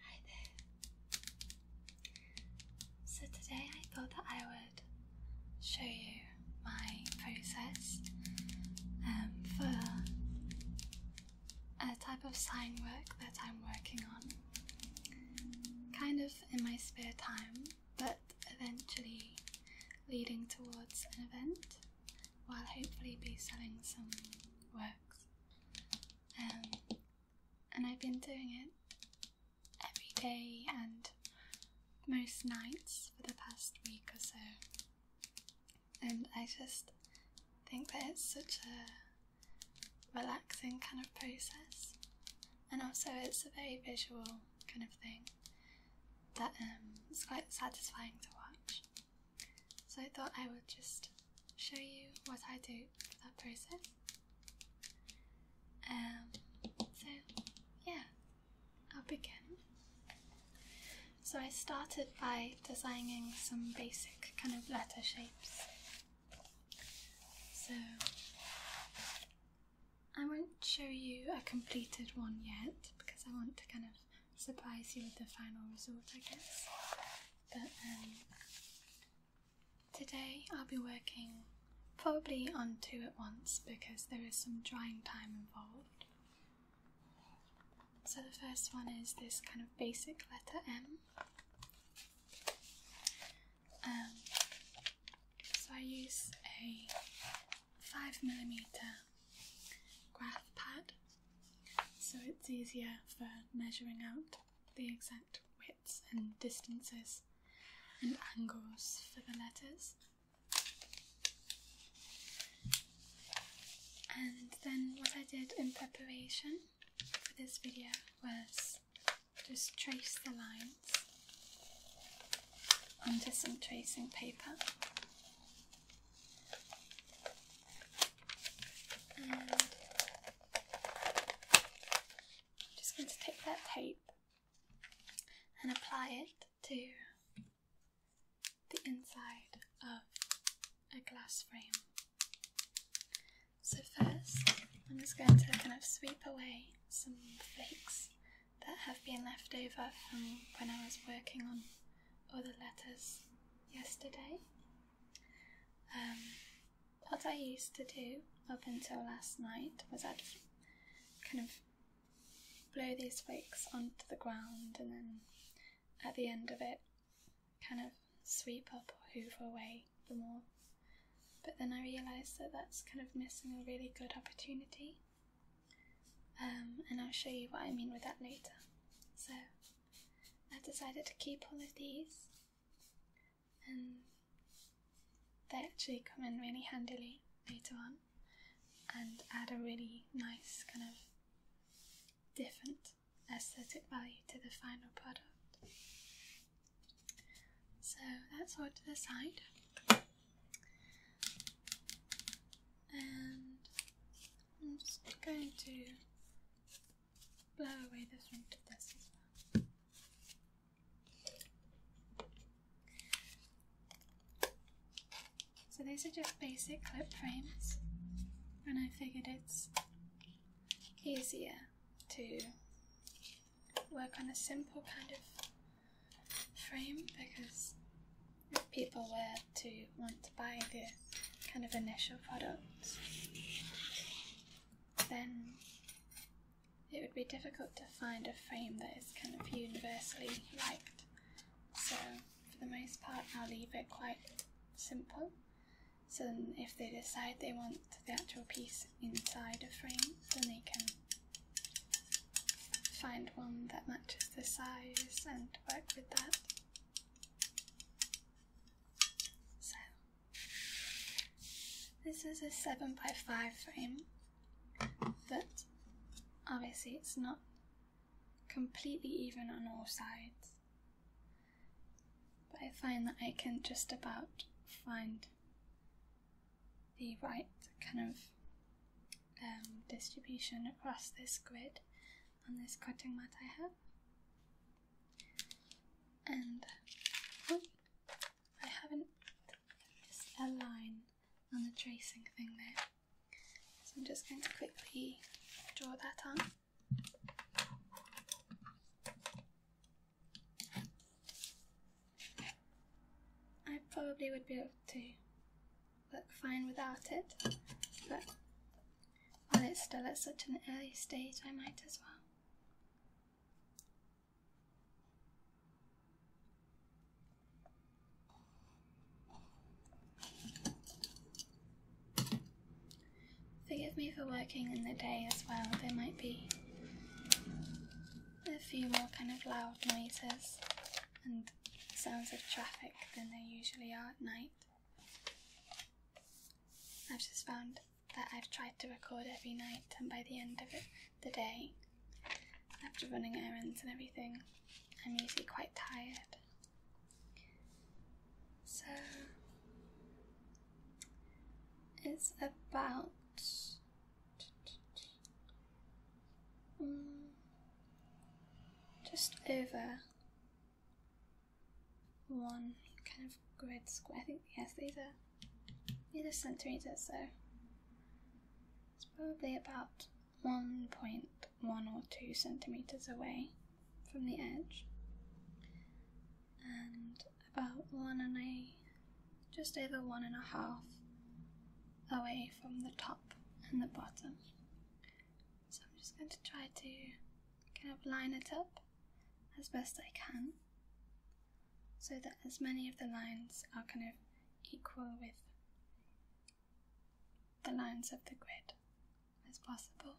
Hi there. So today I thought that I would show you my process um, for a type of sign work that I'm working on, kind of in my spare time but eventually leading towards an event while hopefully be selling some works. Um, and I've been doing it every day and most nights for the past week or so. And I just think that it's such a relaxing kind of process, and also it's a very visual kind of thing that um, it's quite satisfying to watch. So I thought I would just show you what I do for that process. Um, so yeah, I'll begin. So I started by designing some basic kind of letter shapes. So I won't show you a completed one yet because I want to kind of surprise you with the final result, I guess. But um, today I'll be working probably on two at once because there is some drying time involved. So the first one is this kind of basic letter M. Um, so I use a 5mm graph pad so it's easier for measuring out the exact widths and distances and angles for the letters. And then what I did in preparation for this video was just trace the lines onto some tracing paper. And I'm just going to take that tape and apply it to the inside of a glass frame. So, first, I'm just going to kind of sweep away some flakes that have been left over from when I was working on other letters yesterday. Um, what I used to do up until last night was I'd kind of blow these flakes onto the ground and then at the end of it kind of sweep up or hoover away the more. But then I realised that that's kind of missing a really good opportunity um, and I'll show you what I mean with that later. So I've decided to keep all of these, and they actually come in really handily later on and add a really nice kind of different aesthetic value to the final product. So that's all to the side and I'm just going to blow away the front of this as well. So these are just basic clip frames, and I figured it's easier to work on a simple kind of frame because if people were to want to buy the kind of initial product, then it would be difficult to find a frame that is kind of universally liked. So, for the most part, I'll leave it quite simple. So, if they decide they want the actual piece inside a frame, then they can find one that matches the size and work with that. So, this is a 7x5 frame, but obviously it's not completely even on all sides. But I find that I can just about find the right kind of um, distribution across this grid on this cutting mat I have. And oh, I haven't just a line on the tracing thing there. So I'm just going to quickly draw that on. I probably would be able to look fine without it, but while it's still at such an early stage, I might as well. Forgive me for working in the day as well, there might be a few more kind of loud noises and sounds of traffic than they usually are at night. I've just found that I've tried to record every night, and by the end of it, the day, after running errands and everything, I'm usually quite tired. So it's about Mm. just over one kind of grid square. I think yes, these are these are centimeters, so it's probably about one point one or two centimeters away from the edge, and about one and a just over one and a half away from the top and the bottom. So I'm just going to try to kind of line it up as best I can so that as many of the lines are kind of equal with the lines of the grid as possible.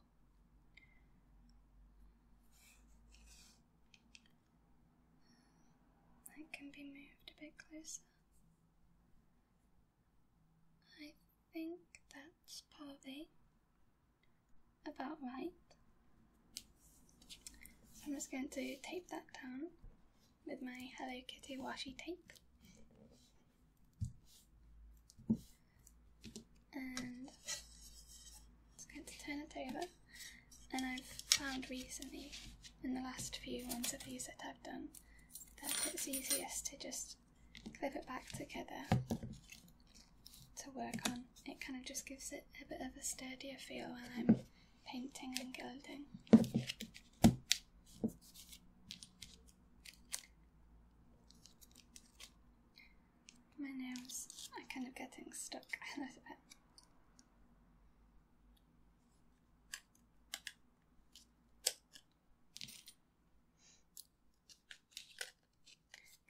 That can be moved a bit closer. I think that's probably about right. I'm just going to tape that down with my Hello Kitty washi tape. And it's going to turn it over. And I've found recently, in the last few ones of these that I've done, that it's easiest to just clip it back together to work on. It kind of just gives it a bit of a sturdier feel when I'm painting and gilding. My nails are kind of getting stuck a little bit.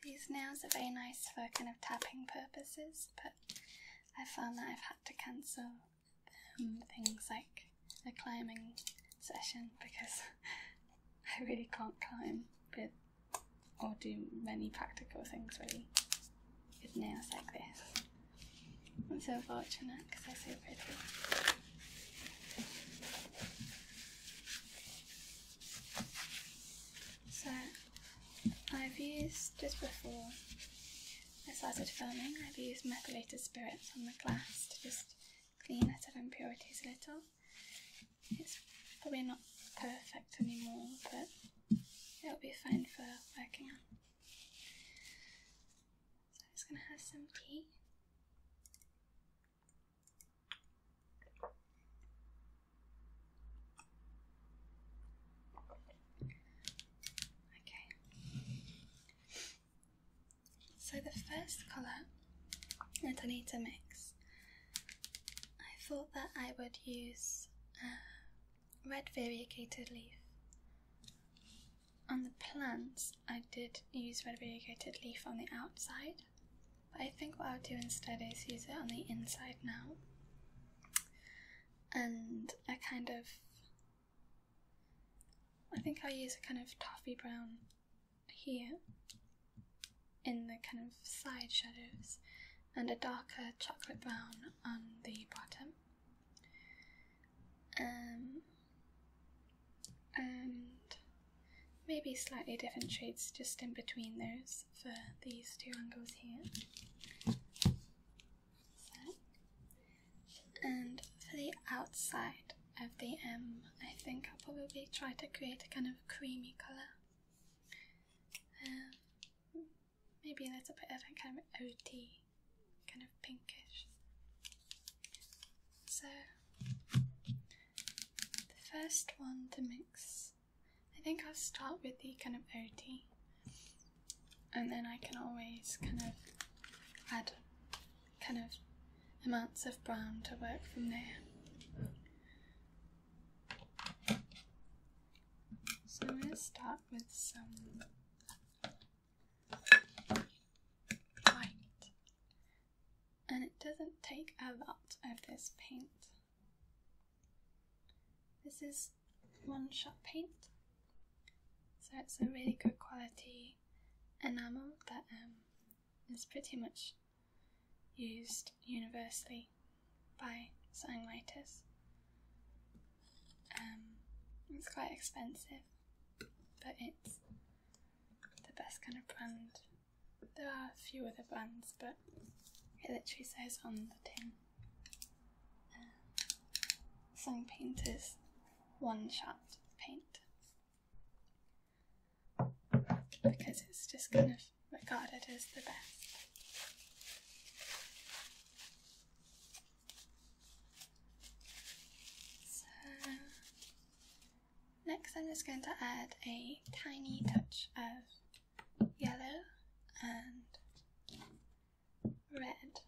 These nails are very nice for kind of tapping purposes, but I found that I've had to cancel um, things like a climbing session because I really can't climb with or do many practical things really with nails like this. I'm so fortunate because they're so pretty. So I've used just before I started filming, I've used methylated spirits on the glass to just clean out of impurities a little. It's probably not perfect anymore, but it'll be fine for working on. So I'm just gonna have some tea. Okay. So the first colour that I need to mix, I thought that I would use a uh, red variegated leaf on the plants, I did use red variegated leaf on the outside, but I think what I'll do instead is use it on the inside now. And I kind of, I think I'll use a kind of toffee brown here in the kind of side shadows, and a darker chocolate brown on the bottom. Um, and maybe slightly different shades just in between those for these two angles here. And for the outside of the M, I think I'll probably try to create a kind of creamy colour. Um, maybe a little bit of a kind of OT kind of pinkish. So, the first one to mix, I think I'll start with the kind of OT, and then I can always kind of add kind of amounts of brown to work from there. So I'm going to start with some and it doesn't take a lot of this paint. This is one shot paint, so it's a really good quality enamel that um, is pretty much used universally by songwriters. Um, it's quite expensive, but it's the best kind of brand. There are a few other brands, but it literally says on the tin um, Sun Painters One Shot Paint. Because it's just kind of regarded as the best. So next I'm just going to add a tiny touch of yellow and red.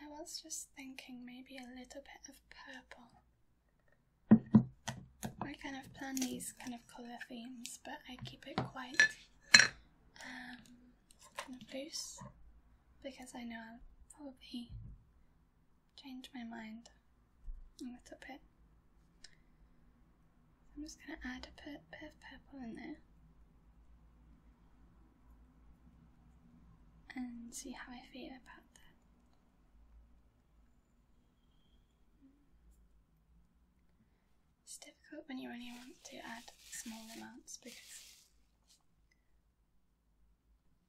I was just thinking maybe a little bit of purple. I kind of plan these kind of colour themes, but I keep it quiet. Um, the face because I know I'll probably change my mind a little bit. I'm just going to add a bit of purple in there and see how I feel about that. It's difficult when you only want to add small amounts because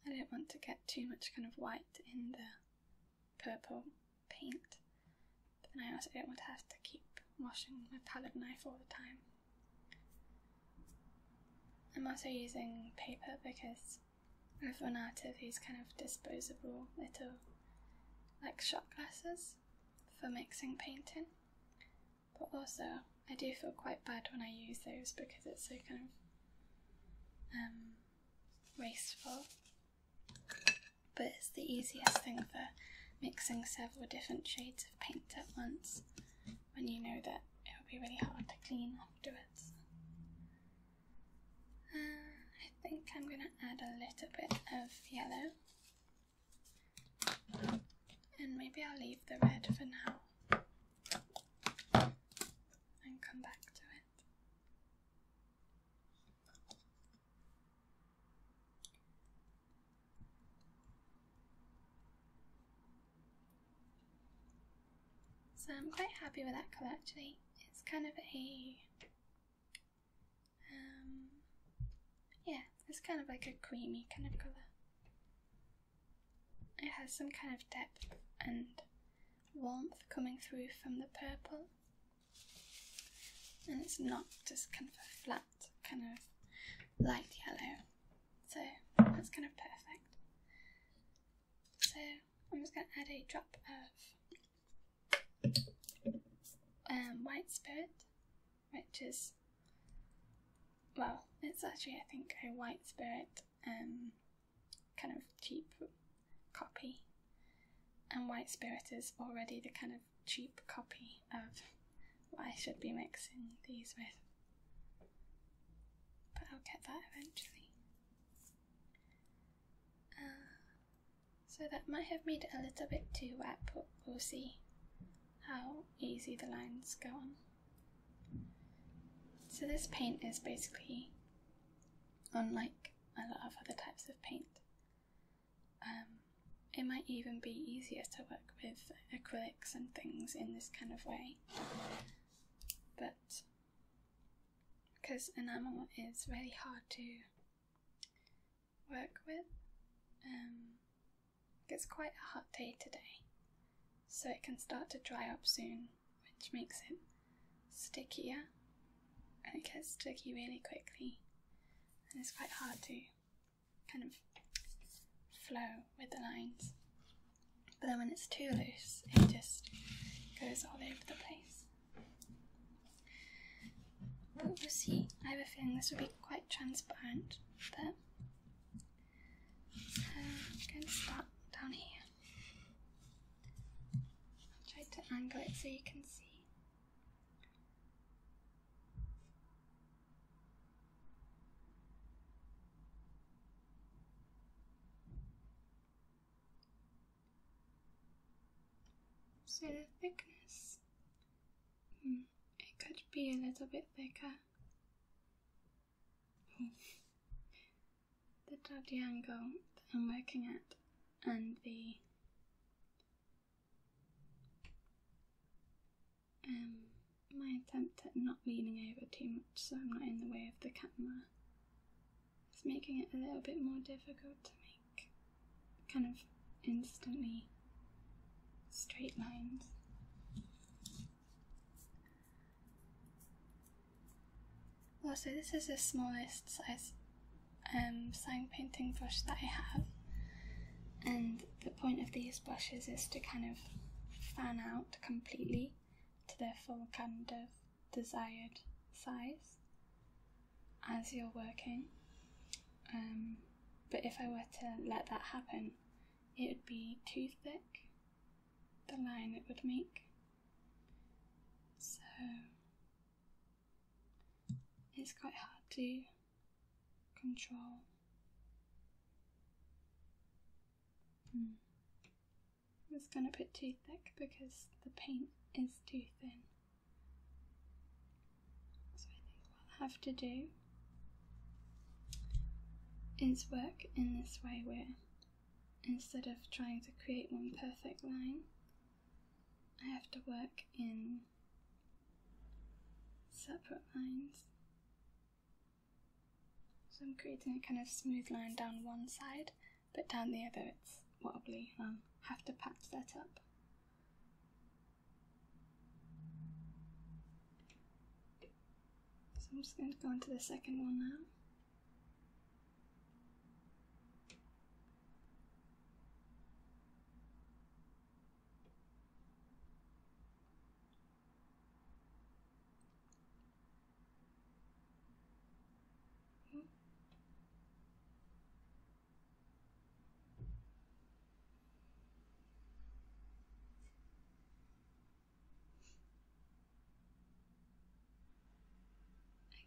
I don't want to get too much kind of white in the purple paint, and I also don't want to have to keep washing my palette knife all the time. I'm also using paper because I've run out of these kind of disposable little like shot glasses for mixing painting. But also, I do feel quite bad when I use those because it's so kind of um, wasteful. But it's the easiest thing for mixing several different shades of paint at once when you know that it will be really hard to clean afterwards. Uh, I think I'm going to add a little bit of yellow and maybe I'll leave the red for now and come back to it. So I'm quite happy with that colour actually. It's kind of a um yeah, it's kind of like a creamy kind of colour. It has some kind of depth and warmth coming through from the purple, and it's not just kind of a flat, kind of light yellow. So that's kind of perfect. So I'm just going to add a drop of um, white spirit which is, well, it's actually, I think, a white spirit um, kind of cheap copy. And white spirit is already the kind of cheap copy of what I should be mixing these with. But I'll get that eventually. Uh, so that might have made it a little bit too wet, but we'll see how easy the lines go on. So this paint is basically unlike a lot of other types of paint. Um, it might even be easier to work with acrylics and things in this kind of way. But because enamel is really hard to work with, um, it's quite a hot day today, so it can start to dry up soon, which makes it stickier and it gets sticky really quickly, and it's quite hard to kind of flow with the lines. But then when it's too loose, it just goes all over the place. But we'll see. I have a feeling this will be quite transparent, but I'm going to start down here. I'll try to angle it so you can see. So the thickness, hmm, it could be a little bit thicker the dodgy angle I'm working at and the um my attempt at not leaning over too much so I'm not in the way of the camera is making it a little bit more difficult to make kind of instantly straight lines. So this is the smallest size um, sign painting brush that I have, and the point of these brushes is to kind of fan out completely to their full kind of desired size as you're working. Um, but if I were to let that happen, it would be too thick, the line it would make. So it's quite hard to control. Hmm. I was going to put too thick because the paint is too thin. So I think what will have to do it's work in this way where instead of trying to create one perfect line, I have to work in separate lines. So I'm creating a kind of smooth line down one side, but down the other it's wobbly and um, I'll have to patch that up. So I'm just going to go into the second one now. Hmm.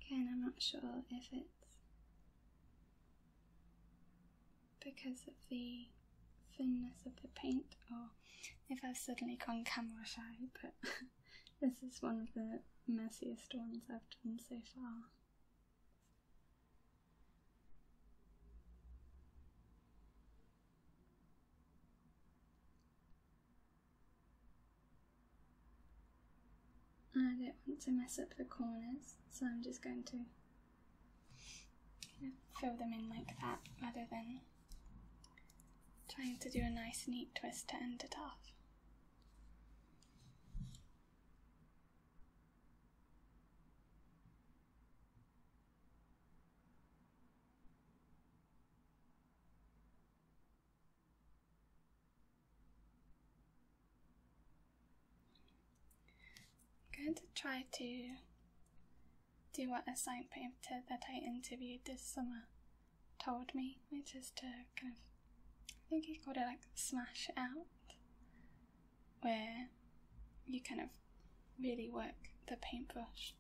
Again, I'm not sure if it's because of the thinness of the paint or if I've suddenly gone camera shy, but this is one of the messiest ones I've done so far. I don't want to mess up the corners, so I'm just going to fill them in like that rather than trying to do a nice neat twist to end it off. I'm going to try to do what a sign painter that I interviewed this summer told me, which is to kind of, I think he called it like smash out, where you kind of really work the paintbrush.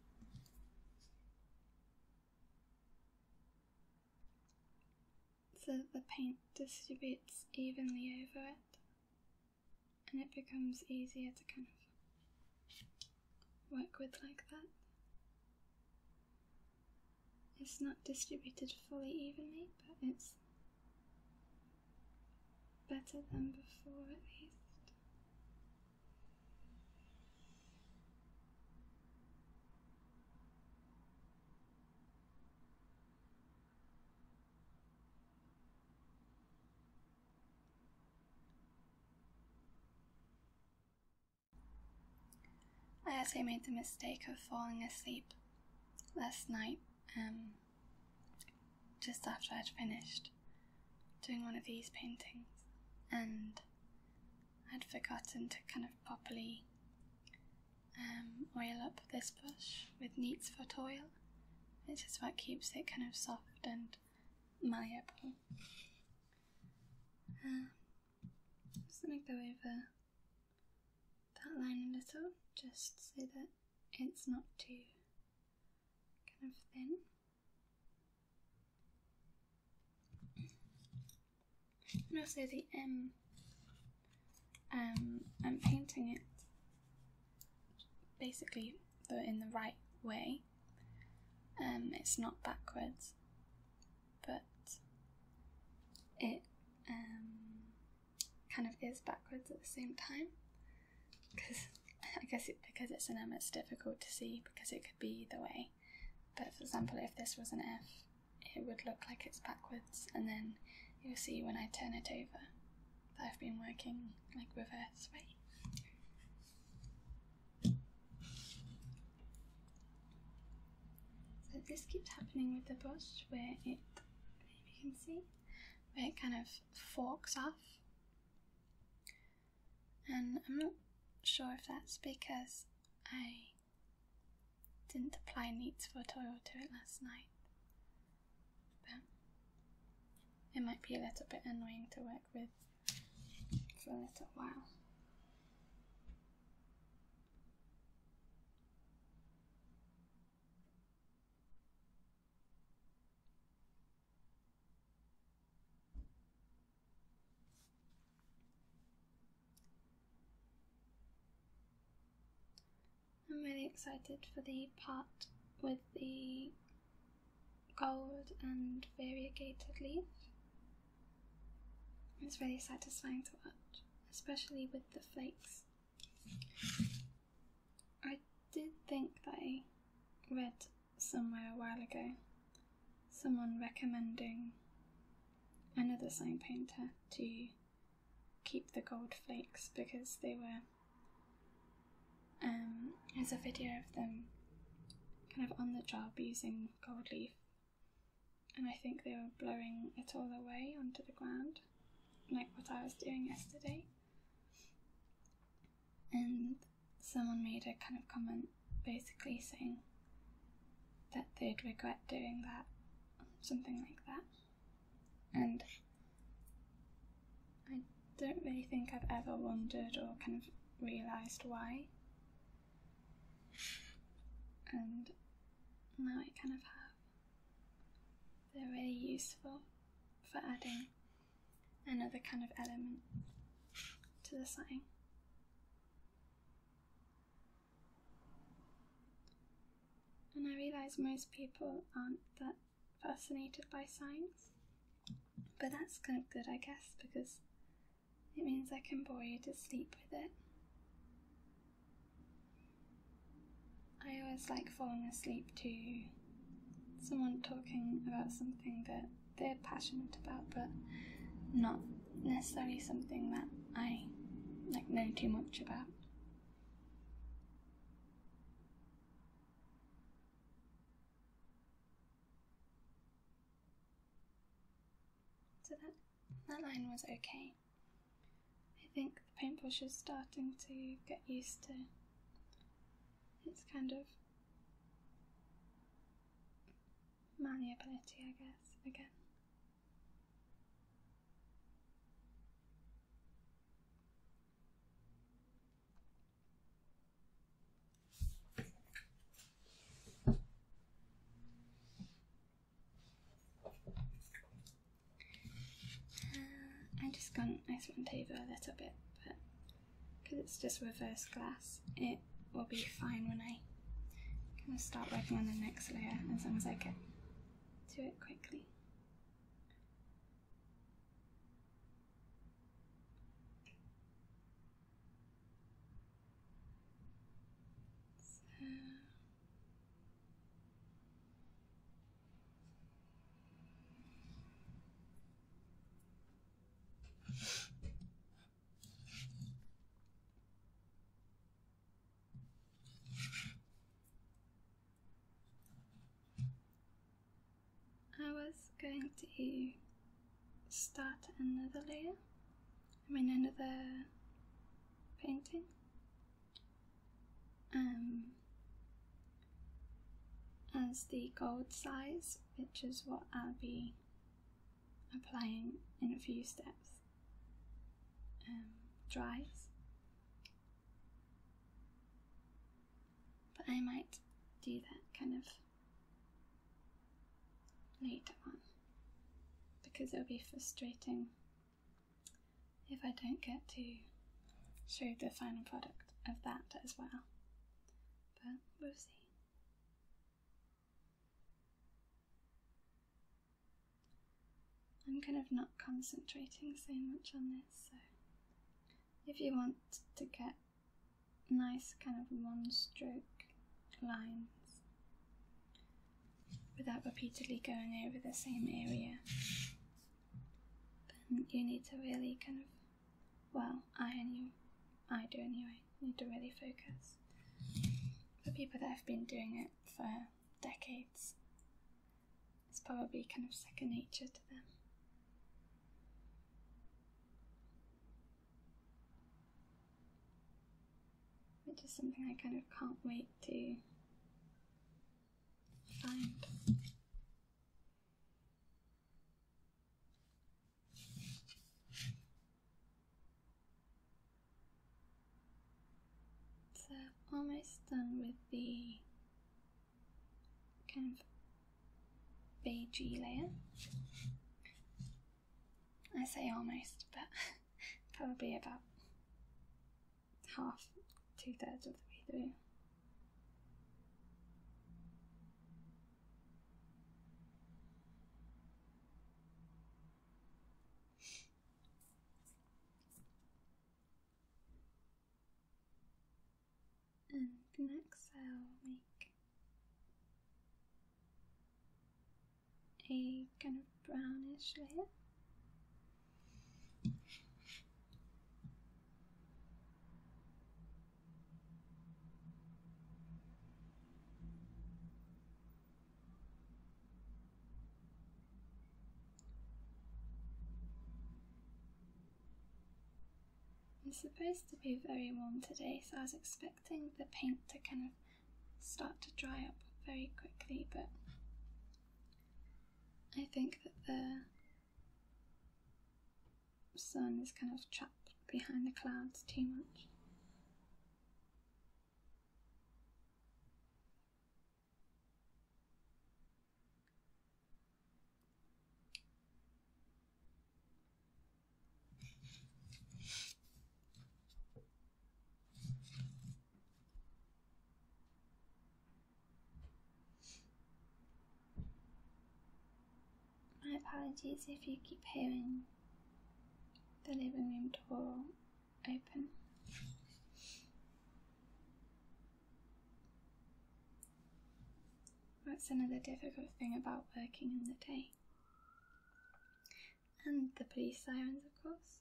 So that the paint distributes evenly over it and it becomes easier to kind of work with like that. It's not distributed fully evenly, but it's Better than before, at least. I actually made the mistake of falling asleep last night, um, just after I'd finished doing one of these paintings, and I'd forgotten to kind of properly um, oil up this brush with neat's foot oil, which is what keeps it kind of soft and malleable. Um, just going to go over that line a little, just so that it's not too kind of thin. And also the M. Um, um, I'm painting it basically though in the right way. Um, it's not backwards, but it um, kind of is backwards at the same time because I guess it, because it's an M, it's difficult to see because it could be either way. But for example, if this was an F, it would look like it's backwards, and then you'll see when I turn it over that I've been working like reverse way. So this keeps happening with the brush where it, maybe you can see, where it kind of forks off and I'm not sure if that's because I didn't apply neats for toil to it last night, but it might be a little bit annoying to work with for a little while. I'm really excited for the part with the gold and variegated leaf. It's really satisfying to watch, especially with the flakes. I did think I read somewhere a while ago someone recommending another sign painter to keep the gold flakes because they were um there's a video of them kind of on the job using gold leaf and I think they were blowing it all away onto the ground like what I was doing yesterday and someone made a kind of comment basically saying that they'd regret doing that, something like that. And I don't really think I've ever wondered or kind of realised why. And now I kind of have. They're really useful for adding another kind of element to the sign, And I realise most people aren't that fascinated by signs, but that's kind of good, I guess, because it means I can bore you to sleep with it. I always like falling asleep too someone talking about something that they're passionate about, but not necessarily something that I like know too much about. So that that line was okay. I think the paintbrush is starting to get used to it's kind of malleability, I guess, again. Uh, I just gone ice and taver a little bit, but because it's just reverse glass, it will be fine when I kind start working on the next layer as long as I get to it quickly. So. I was going to start another layer, I mean another painting. Um, as the gold size, which is what I'll be applying in a few steps, um, dries. But I might do that kind of later on because it'll be frustrating if I don't get to show the final product of that as well but we'll see. I'm kind of not concentrating so much on this, so if you want to get nice kind of one stroke lines without repeatedly going over the same area, then you need to really kind of well, I and I do anyway, need to really focus. For people that have been doing it for decades, it's probably kind of second nature to them. Which is something I kind of can't wait to find. So I'm almost done with the kind of beigey layer. I say almost, but probably about half, two thirds of the way through. And exhale. make a kind of brownish layer. It's supposed to be very warm today, so I was expecting the paint to kind of start to dry up very quickly, but I think that the sun is kind of trapped behind the clouds too much. My apologies if you keep hearing the living room door open. That's another difficult thing about working in the day. And the police sirens, of course.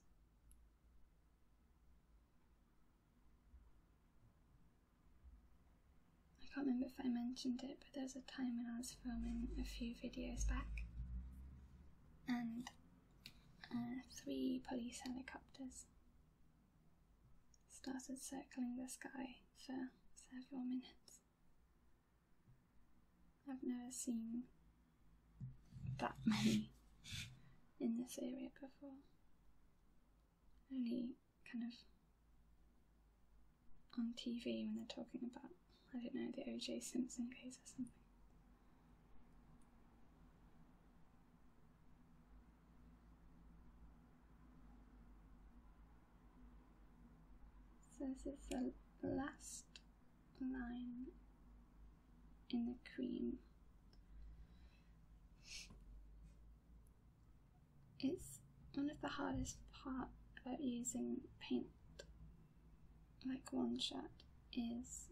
I can't remember if I mentioned it, but there was a time when I was filming a few videos back, and uh, three police helicopters started circling the sky for several minutes. I've never seen that many in this area before. Only kind of on TV when they're talking about, I don't know, the O.J. Simpson case or something. So this is the last line in the cream. It's one of the hardest parts about using paint like one shot is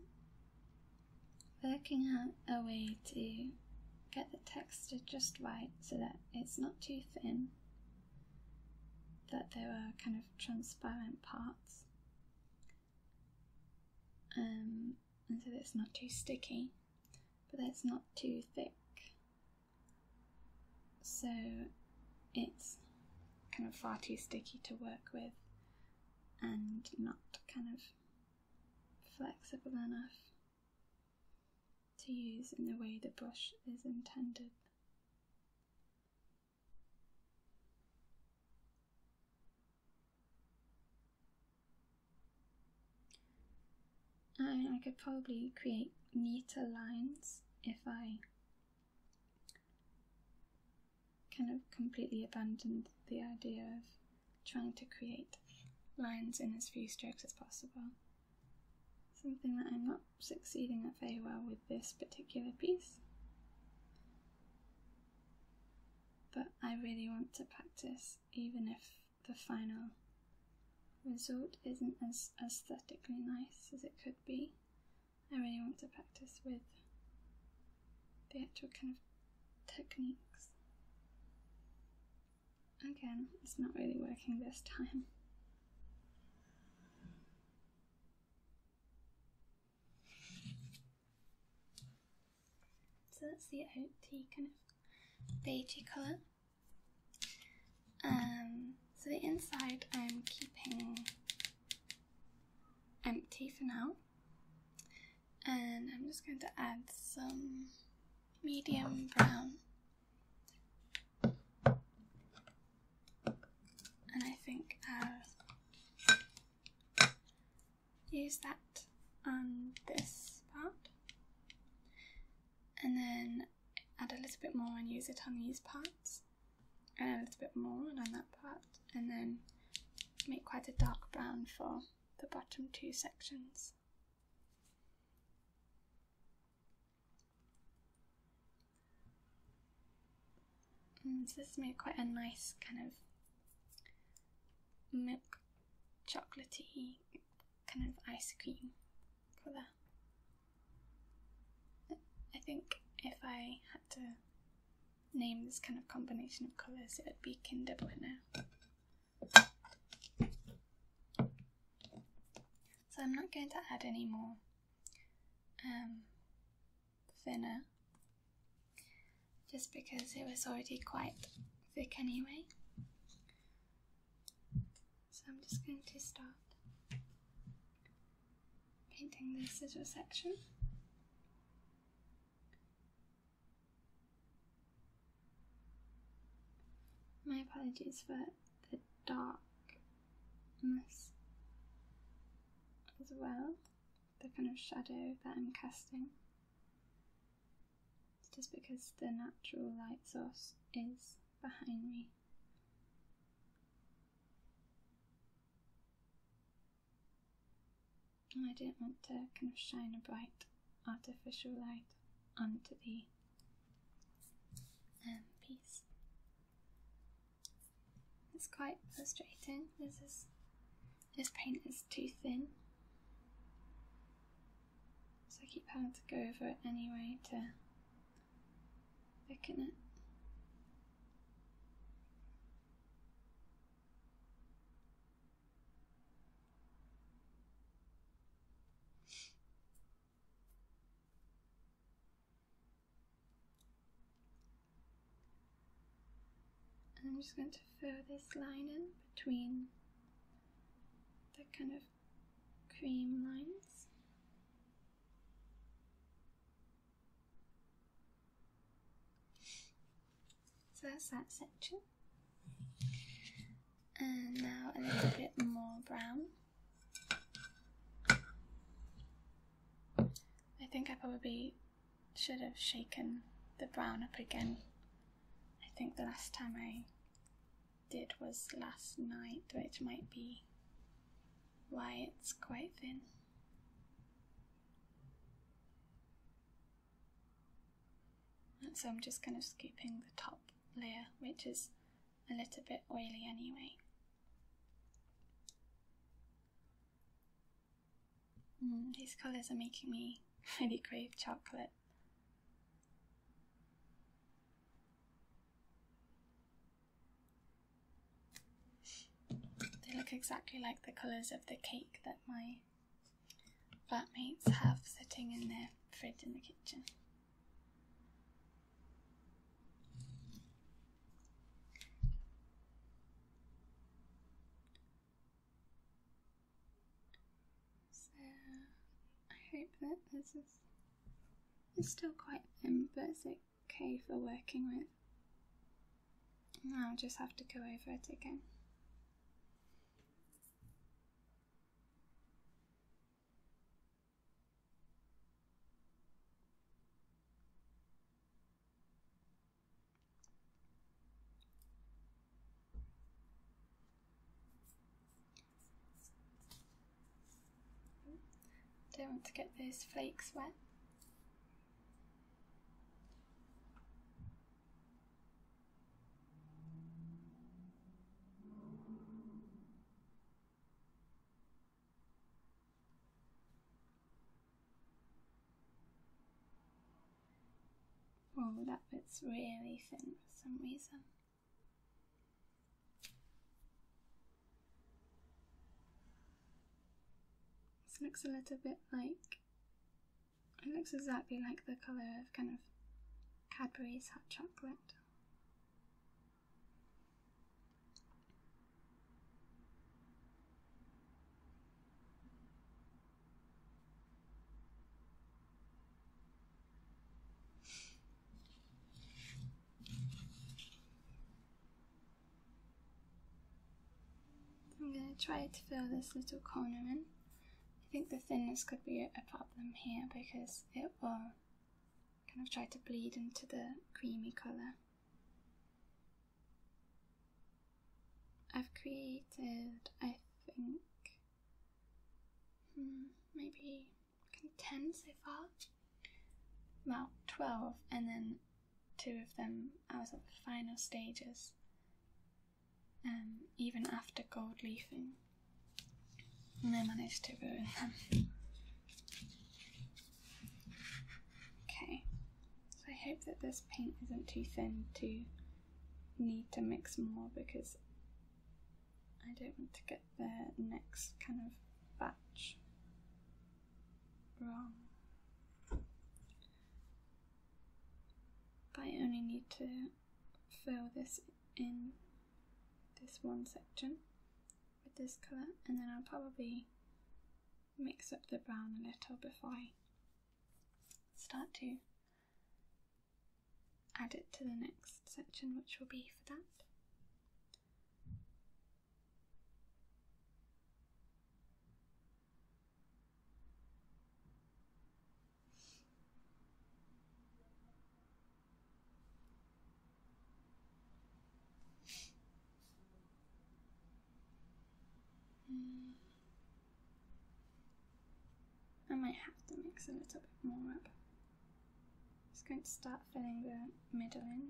working out a way to get the texture just right so that it's not too thin, that there are kind of transparent parts, um, and so that it's not too sticky, but that it's not too thick, so it's kind of far too sticky to work with and not kind of flexible enough to use in the way the brush is intended. I I could probably create neater lines if I kind of completely abandoned the idea of trying to create lines in as few strokes as possible. Something that I'm not succeeding at very well with this particular piece. But I really want to practice, even if the final result isn't as aesthetically nice as it could be. I really want to practice with the actual kind of techniques. Again, it's not really working this time. So that's the OT kind of beigey colour. Um, so the inside I'm keeping empty for now, and I'm just going to add some medium brown. And I think I'll use that on this part. And then add a little bit more and use it on these parts, and a little bit more and on that part, and then make quite a dark brown for the bottom two sections. this makes quite a nice kind of milk chocolatey kind of ice cream for I think if I had to name this kind of combination of colours, it would be Kinder Bueno. So I'm not going to add any more um, thinner just because it was already quite thick anyway. So I'm just going to start painting the scissor section. My apologies for the darkness as well, the kind of shadow that I'm casting just because the natural light source is behind me. And I didn't want to kind of shine a bright artificial light onto the um, piece. It's quite frustrating. This is this paint is too thin. So I keep having to go over it anyway to thicken it. I'm just going to fill this line in between the kind of cream lines. So that's that section. And now a little bit more brown. I think I probably should have shaken the brown up again. I think the last time I did was last night, which might be why it's quite thin. so I'm just kind of scooping the top layer, which is a little bit oily anyway. Mm, these colours are making me really crave chocolate. They look exactly like the colours of the cake that my flatmates have sitting in their fridge in the kitchen. So I hope that this is it's still quite thin, but it's okay for working with. I'll just have to go over it again. Don't want to get those flakes wet. Oh, that bit's really thin for some reason. This looks a little bit like it looks exactly like the colour of kind of Cadbury's hot chocolate. I'm going to try to fill this little corner in. I think the thinness could be a problem here because it will kind of try to bleed into the creamy colour. I've created, I think, hmm, maybe ten so far. About twelve, and then two of them I was at the final stages. Um, even after gold leafing, and I managed to ruin them. Okay, so I hope that this paint isn't too thin to need to mix more because I don't want to get the next kind of batch wrong. I only need to fill this in this one section with this colour and then I'll probably mix up the brown a little before I start to add it to the next section, which will be for that. Hmm. I might have to mix a little bit more up. Just going to start filling the middle in.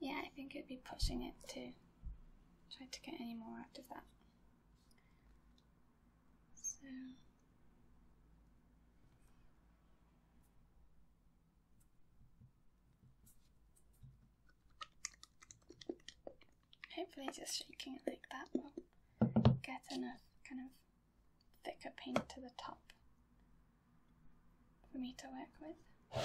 Yeah, I think it'd be pushing it to try to get any more out of that. So. Hopefully, just shaking it like that will get enough kind of thicker paint to the top for me to work with.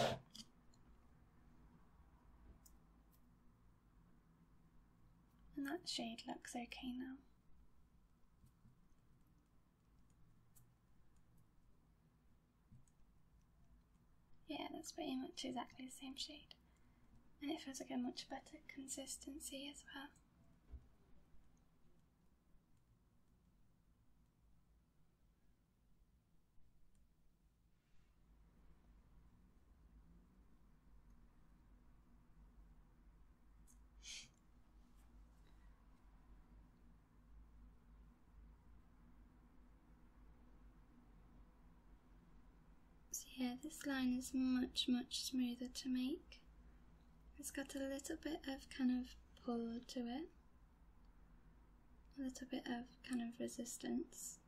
And that shade looks okay now. Yeah, that's pretty much exactly the same shade. And it feels like a much better consistency as well. So yeah, this line is much, much smoother to make. It's got a little bit of kind of pull to it, a little bit of kind of resistance,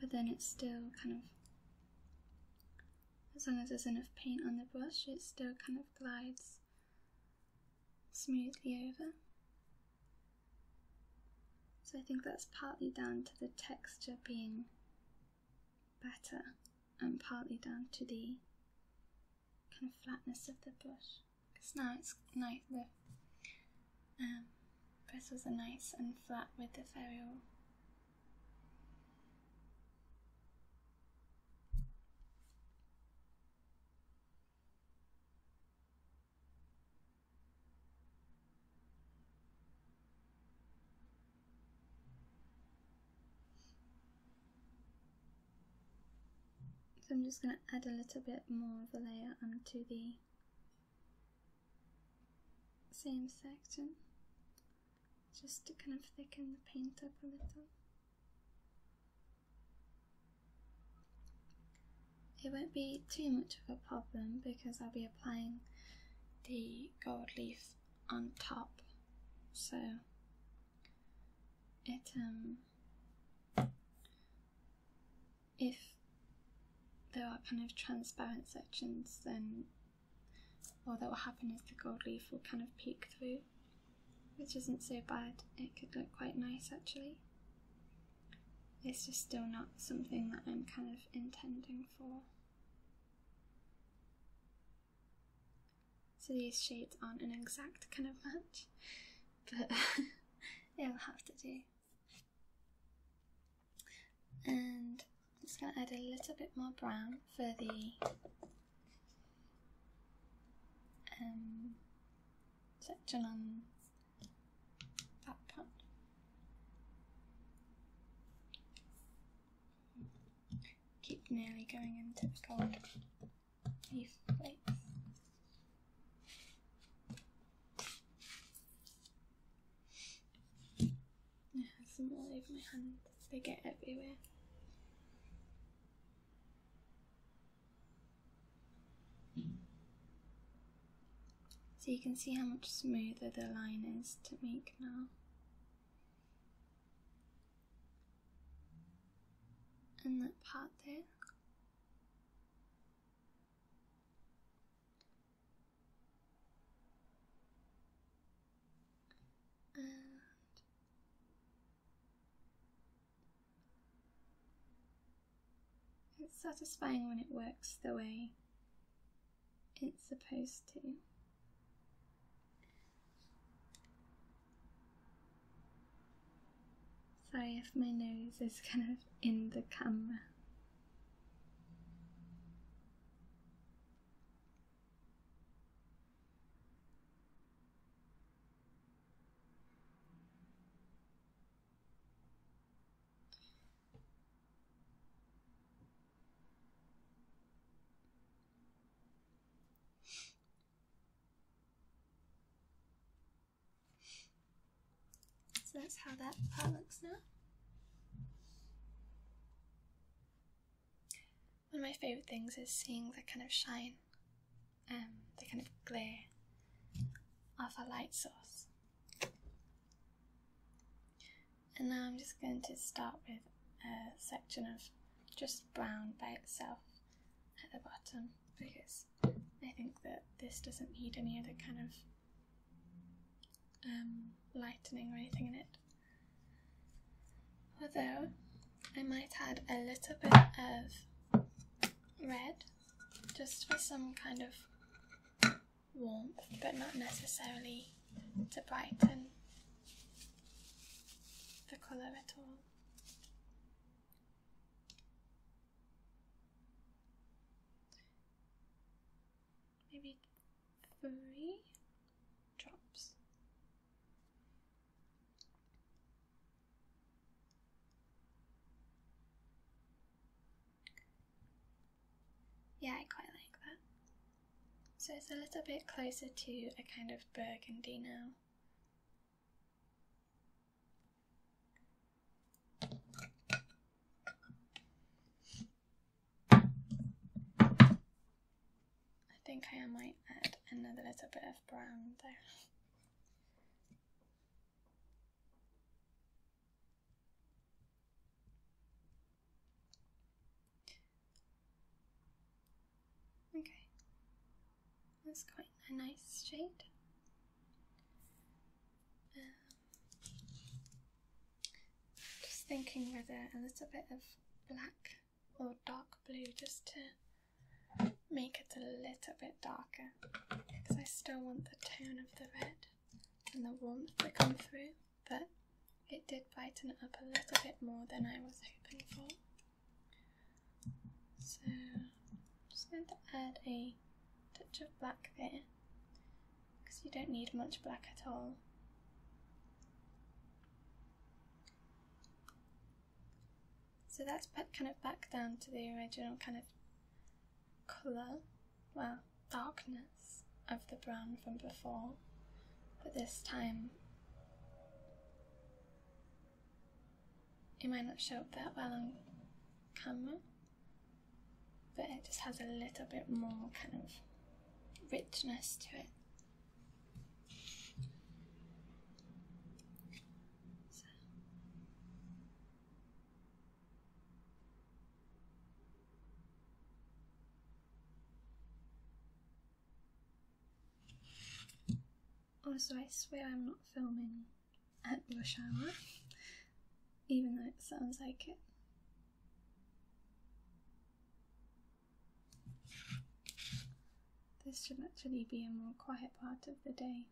but then it's still kind of, as long as there's enough paint on the brush, it still kind of glides smoothly over. So I think that's partly down to the texture being better and partly down to the kind of flatness of the brush. Because now it's nice, the um, bristles are nice and flat with the ferrule. So I'm just going to add a little bit more of a layer onto the same section just to kind of thicken the paint up a little. It won't be too much of a problem because I'll be applying the gold leaf on top, so it um if there are kind of transparent sections then all that will happen is the gold leaf will kind of peek through which isn't so bad. It could look quite nice actually. It's just still not something that I'm kind of intending for. So these shades aren't an exact kind of match, but it'll have to do. And I'm just going to add a little bit more brown for the um, section on that part. Keep nearly going into the cold leaf plates. I have some all over my hand, they get everywhere. So you can see how much smoother the line is to make now. And that part there. And it's satisfying when it works the way it's supposed to. Sorry if my nose is kind of in the camera. So that's how that part looks now. One of my favorite things is seeing that kind of shine um, the kind of glare of a light source. And now I'm just going to start with a section of just brown by itself at the bottom because I think that this doesn't need any other kind of um, lightening or anything in it. Although I might add a little bit of red just for some kind of warmth, but not necessarily to brighten the colour at all. Maybe three drops. Yeah, I quite like that. So it's a little bit closer to a kind of burgundy now. I think I might add another little bit of brown there. Okay, that's quite a nice shade. Um, just thinking whether a little bit of black or dark blue just to make it a little bit darker because I still want the tone of the red and the warmth to come through, but it did brighten it up a little bit more than I was hoping for. So I'm just going to add a touch of black there because you don't need much black at all. So that's kind of back down to the original kind of colour, well, darkness of the brown from before, but this time it might not show up that well on camera, but it just has a little bit more kind of richness to it. So. Also, I swear I'm not filming at rush hour, even though it sounds like it. This should actually be a more quiet part of the day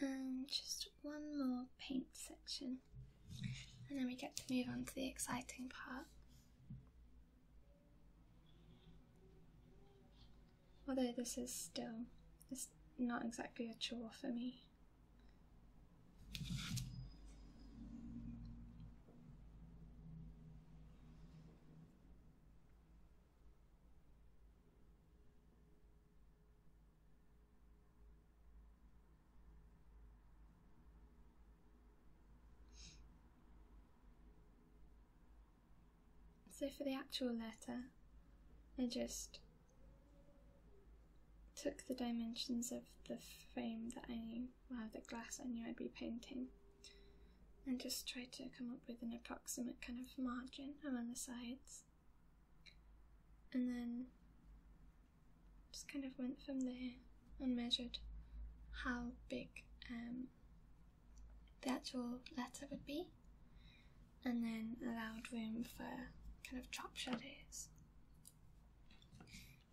and just one more paint section, and then we get to move on to the exciting part. Although this is still it's not exactly a chore for me. So for the actual letter, I just took the dimensions of the frame that I knew, well, the glass I knew I'd be painting, and just try to come up with an approximate kind of margin around the sides. And then just kind of went from there and measured how big um, the actual letter would be, and then allowed room for kind of chop shadows.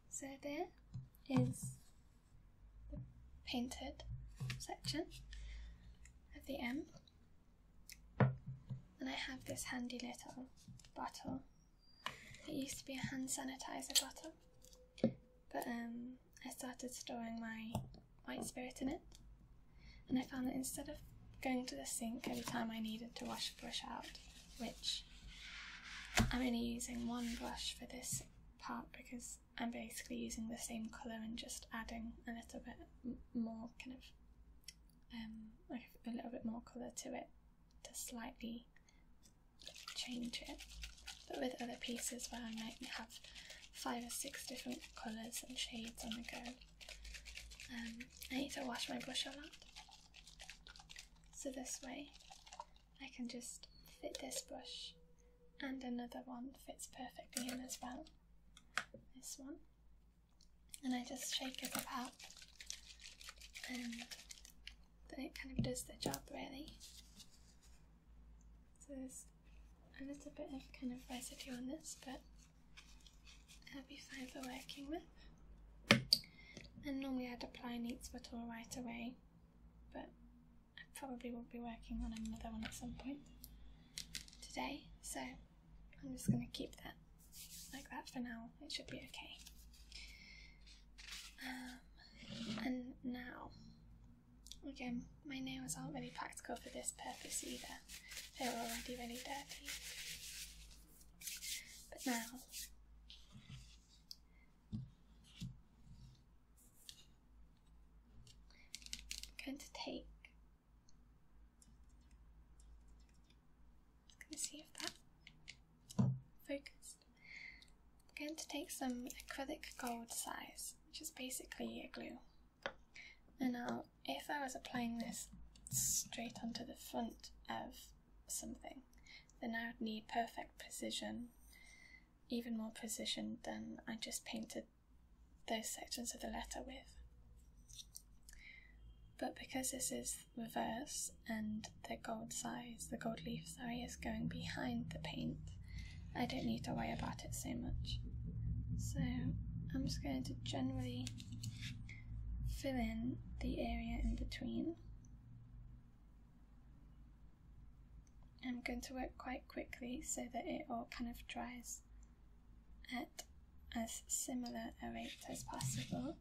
So there is the painted section at the end. And I have this handy little bottle. It used to be a hand sanitizer bottle, but um, I started storing my white spirit in it. And I found that instead of going to the sink every time I needed to wash a brush out, which I'm only using one brush for this part because I'm basically using the same colour and just adding a little bit more kind of um, like a little bit more colour to it to slightly change it. But with other pieces where I might have five or six different colours and shades on the go, um, I need to wash my brush a lot. So this way I can just fit this brush and another one fits perfectly in as well. This one. And I just shake it about and then it kind of does the job really. So there's a little bit of kind of residue on this but it'll be fine for working with. And normally I'd apply an eats right away but I probably will be working on another one at some point today, so I'm just going to keep that like that for now. It should be okay. Um, and now, again, my nails aren't really practical for this purpose either. They're already really dirty. But now, I'm going to take. I'm see if that focused. going to take some acrylic gold size, which is basically a glue. And now, if I was applying this straight onto the front of something, then I would need perfect precision even more precision than I just painted those sections of the letter with. But because this is reverse and the gold size, the gold leaf, sorry, is going behind the paint, I don't need to worry about it so much. So I'm just going to generally fill in the area in between I'm going to work quite quickly so that it all kind of dries at as similar a rate as possible.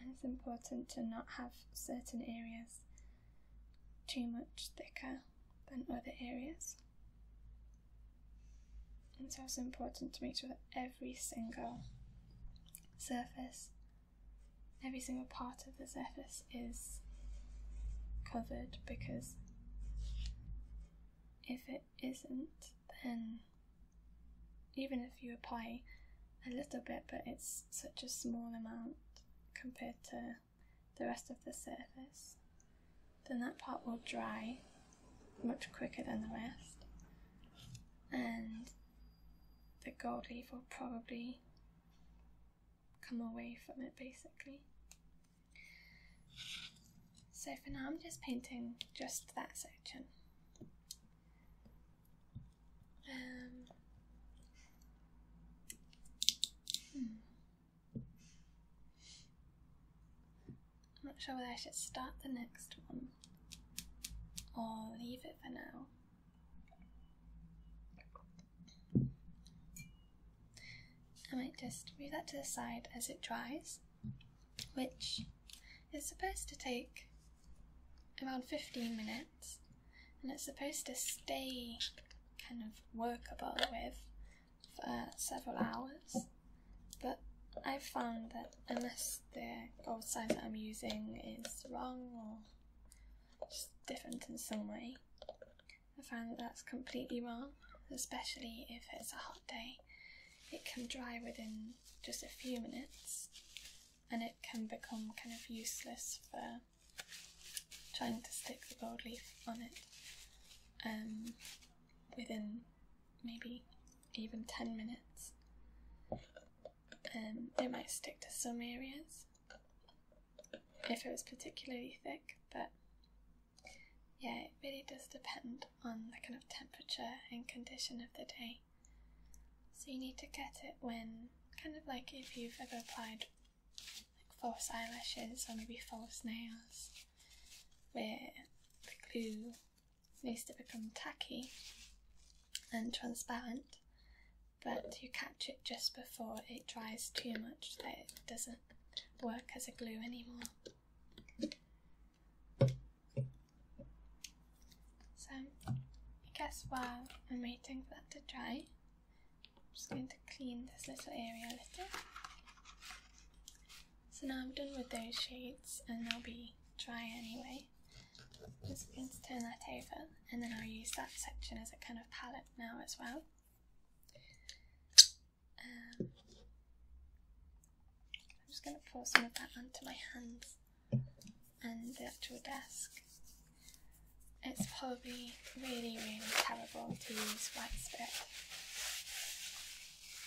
And it's important to not have certain areas too much thicker than other areas. it's also important to make sure that every single surface every single part of the surface is covered because if it isn't, then even if you apply a little bit, but it's such a small amount compared to the rest of the surface, then that part will dry much quicker than the rest. And the gold leaf will probably come away from it basically. So for now I'm just painting just that section. Um, hmm. I'm not sure whether I should start the next one or leave it for now. I might just move that to the side as it dries, which is supposed to take around 15 minutes and it's supposed to stay kind of workable with for several hours. But I've found that unless the gold size that I'm using is wrong or just different in some way. I find that that's completely wrong, especially if it's a hot day. It can dry within just a few minutes and it can become kind of useless for trying to stick the gold leaf on it um, within maybe even 10 minutes. Um, it might stick to some areas if it was particularly thick, but yeah, it really does depend on the kind of temperature and condition of the day. So you need to get it when, kind of like if you've ever applied like false eyelashes or maybe false nails, where the glue needs to become tacky and transparent, but you catch it just before it dries too much that it doesn't work as a glue anymore. So, I guess while I'm waiting for that to dry, I'm just going to clean this little area a little. So now I'm done with those shades and they'll be dry anyway. Just going to turn that over and then I'll use that section as a kind of palette now as well. Um, I'm just going to pour some of that onto my hands and the actual desk. It's probably really, really terrible to use white spirit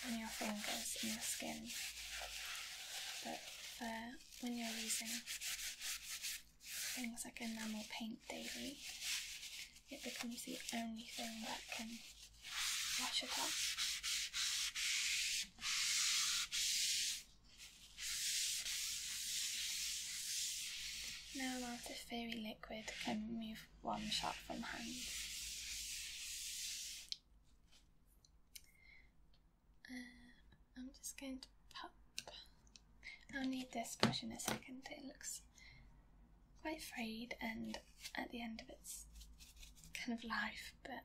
on your fingers and your skin, but when you're using things like enamel paint daily, it becomes the only thing that can wash it off. Now after lot fairy liquid can remove one shot from hands. Uh, I'm just going to pop. I'll need this brush in a second. It looks quite frayed, and at the end of its kind of life, but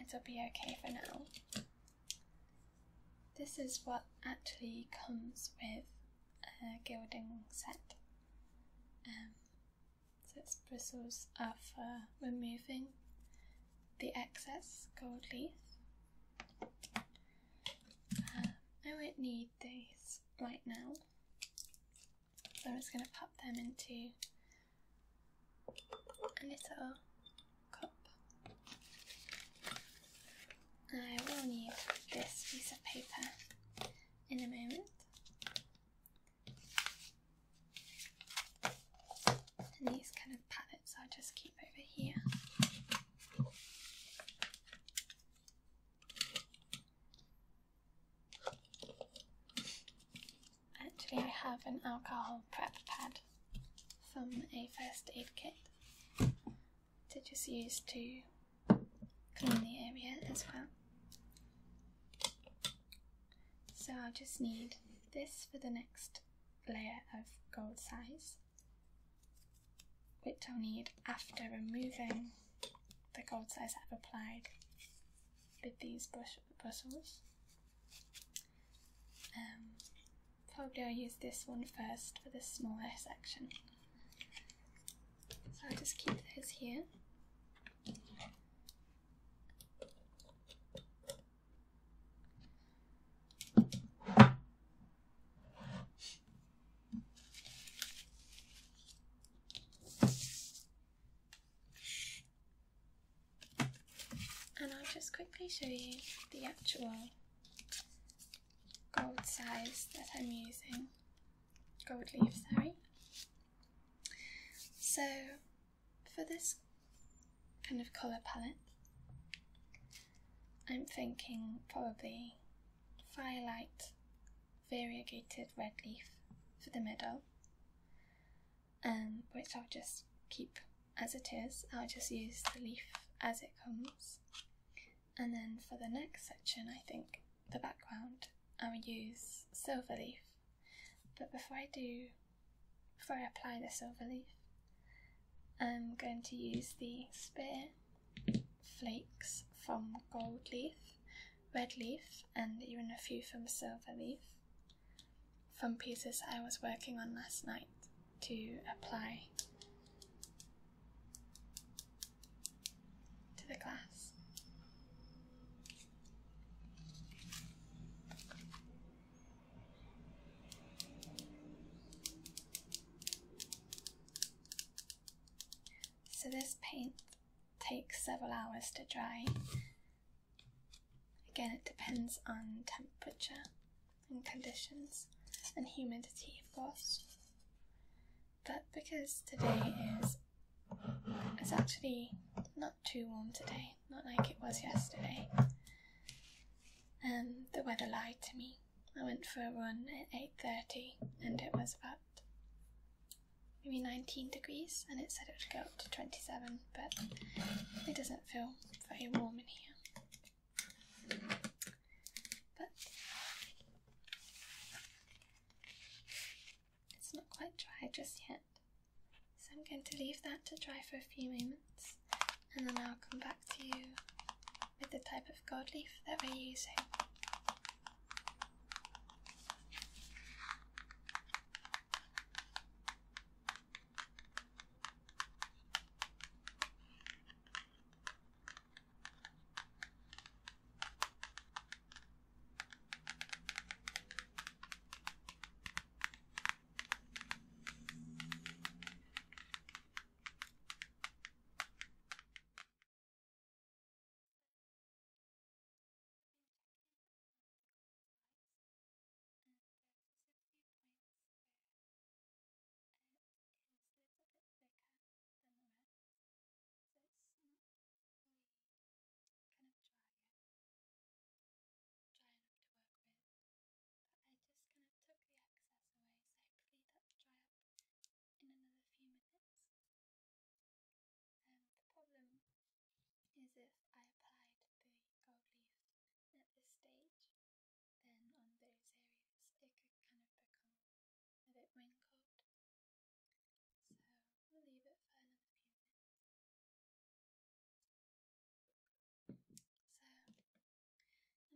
it'll be okay for now. This is what actually comes with a gilding set. Um, so its bristles are for removing the excess gold leaf. Uh, I won't need these right now, so I'm just going to pop them into a little cup. I will need this piece of paper in a moment these kind of palettes i just keep over here. Actually, I have an alcohol prep pad from a first aid kit to just use to clean the area as well. So I'll just need this for the next layer of gold size, which I'll need after removing the gold size I've applied with these brush bristles. Um, probably I'll use this one first for this smaller section. So I'll just keep those here. And I'll just quickly show you the actual gold size that I'm using, gold leaf, sorry. So for this kind of colour palette. I'm thinking probably firelight variegated red leaf for the middle, and um, which I'll just keep as it is. I'll just use the leaf as it comes. And then for the next section, I think the background, I'll use silver leaf. But before I do before I apply the silver leaf, I'm going to use the spare flakes from gold leaf, red leaf, and even a few from silver leaf from pieces I was working on last night to apply to the glass. So this paint takes several hours to dry. Again, it depends on temperature and conditions and humidity, of course. But because today is it's actually not too warm today, not like it was yesterday. Um, the weather lied to me. I went for a run at 8.30 and it was about maybe 19 degrees and it said it would go up to 27 but it doesn't feel very warm in here. But it's not quite dry just yet. So I'm going to leave that to dry for a few moments and then I'll come back to you with the type of gold leaf that we're using. It's a bit thicker than the red, so it's kind of dry with, dry enough to work with, I just kind of took the excess away, so hopefully that'll dry up in another few minutes. Um, the problem is if I applied the gold leaf at this stage, then on those areas it could kind of become a bit wrinkled. So we'll leave it for another few minutes. So, I'm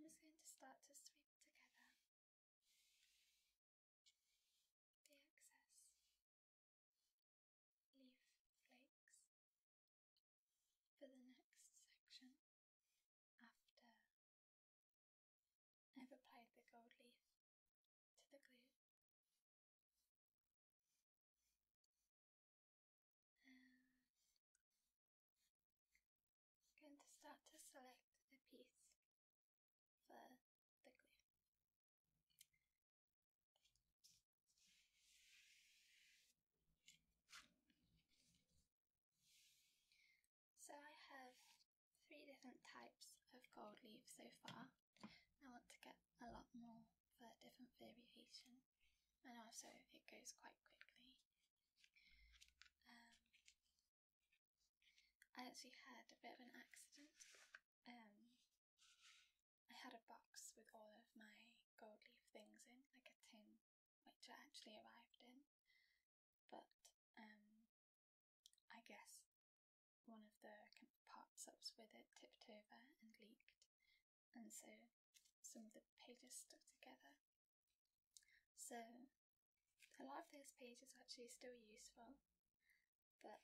just going to start to sweep together the excess leaf flakes for the next section after I've applied the gold leaf to the glue. I'm going to start to select the piece for the glue. So I have three different types of gold leaf so far. I want to get a lot more for different variations and also it goes quite quickly. Um, I actually had a bit of an accident. Um, I had a box with all of my gold leaf things in, like a tin, which I actually arrived in. But um, I guess one of the kind of parts was with it tipped over and leaked, and so some of the pages stuck together. So a lot of those pages are actually still useful, but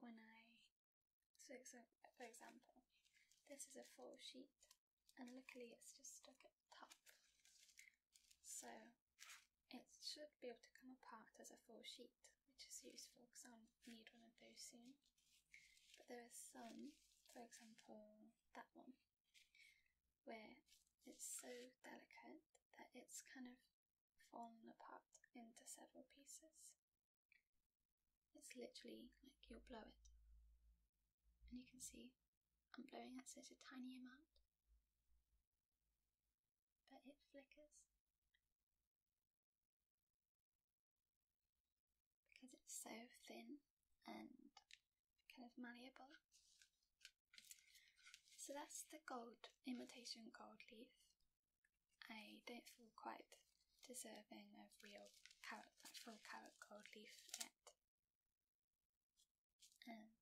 when I, so for example, this is a full sheet and luckily it's just stuck at the top. So it should be able to come apart as a full sheet, which is useful because I'll need one of those soon. But there are some, for example, that one, where it's so delicate that it's kind of fallen apart into several pieces. It's literally like you'll blow it. And you can see I'm blowing at such a tiny amount, but it flickers because it's so thin and kind of malleable. So that's the gold, imitation gold leaf. I don't feel quite deserving of real carrot, like carrot gold leaf yet. Um,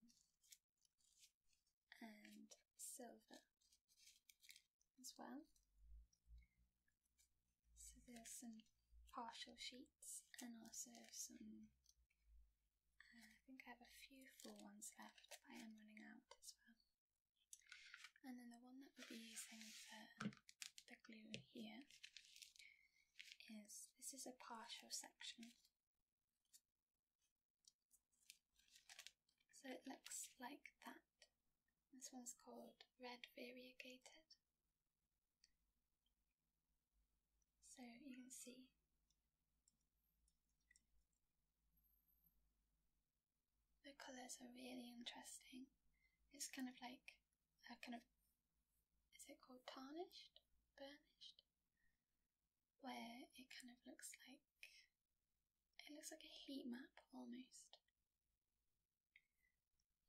and silver as well. So there's some partial sheets and also some. Uh, I think I have a few full ones left. I am running out as well. And then the one that we'll be using for the glue here is this is a partial section. So it looks like that. This one's called red variegated. So you can see the colours are really interesting. It's kind of like a kind of is it called tarnished, burnished, where it kind of looks like it looks like a heat map almost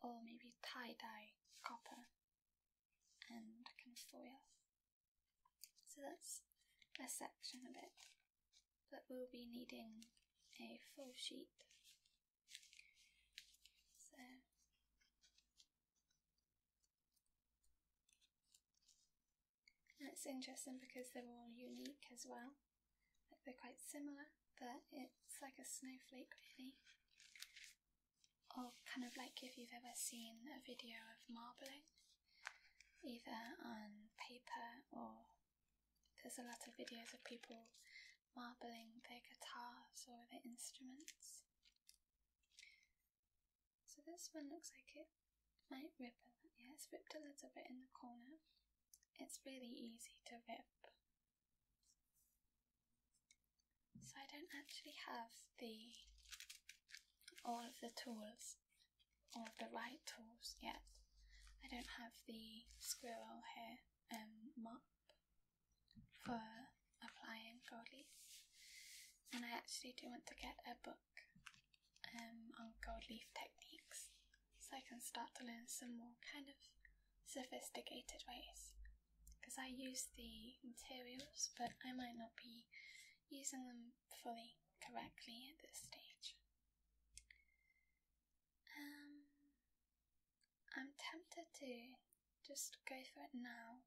or maybe tie-dye copper and kind of foil. So that's a section of it, but we'll be needing a full sheet. So and interesting because they're all unique as well. Like they're quite similar, but it's like a snowflake really. Or kind of like if you've ever seen a video of marbling, either on paper or there's a lot of videos of people marbling their guitars or their instruments. So this one looks like it might rip a yeah, it's ripped a little bit in the corner. It's really easy to rip so I don't actually have the all of the tools, all the right tools yet. I don't have the squirrel here um, mop for applying gold leaf, and I actually do want to get a book um, on gold leaf techniques so I can start to learn some more kind of sophisticated ways because I use the materials, but I might not be using them fully correctly at this stage. Um, I'm tempted to just go for it now,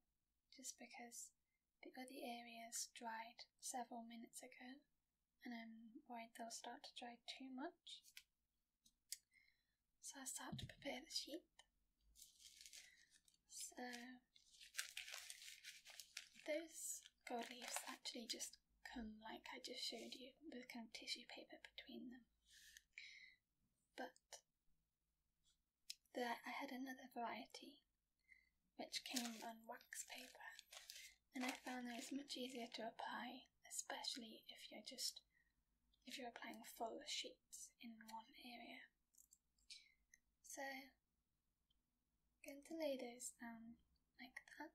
just because the other areas dried several minutes ago, and I'm worried they'll start to dry too much. So I start to prepare the sheet. So those gold leaves actually just come like I just showed you with kind of tissue paper between them. But there I had another variety which came on wax paper and I found those much easier to apply, especially if you're just if you're applying full sheets in one area. So going to lay those down like that.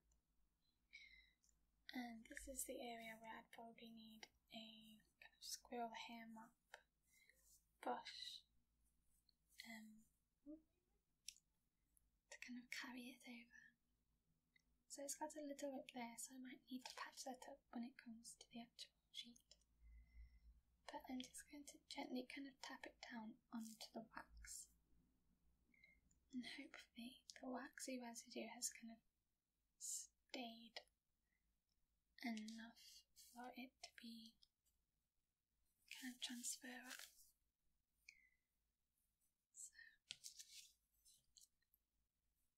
And this is the area where I'd probably need a kind of squirrel hair mop brush um, to kind of carry it over. So it's got a little rip there, so I might need to patch that up when it comes to the actual sheet. But I'm just going to gently kind of tap it down onto the wax. And hopefully the waxy residue has kind of stayed enough for it to be kind of transferable.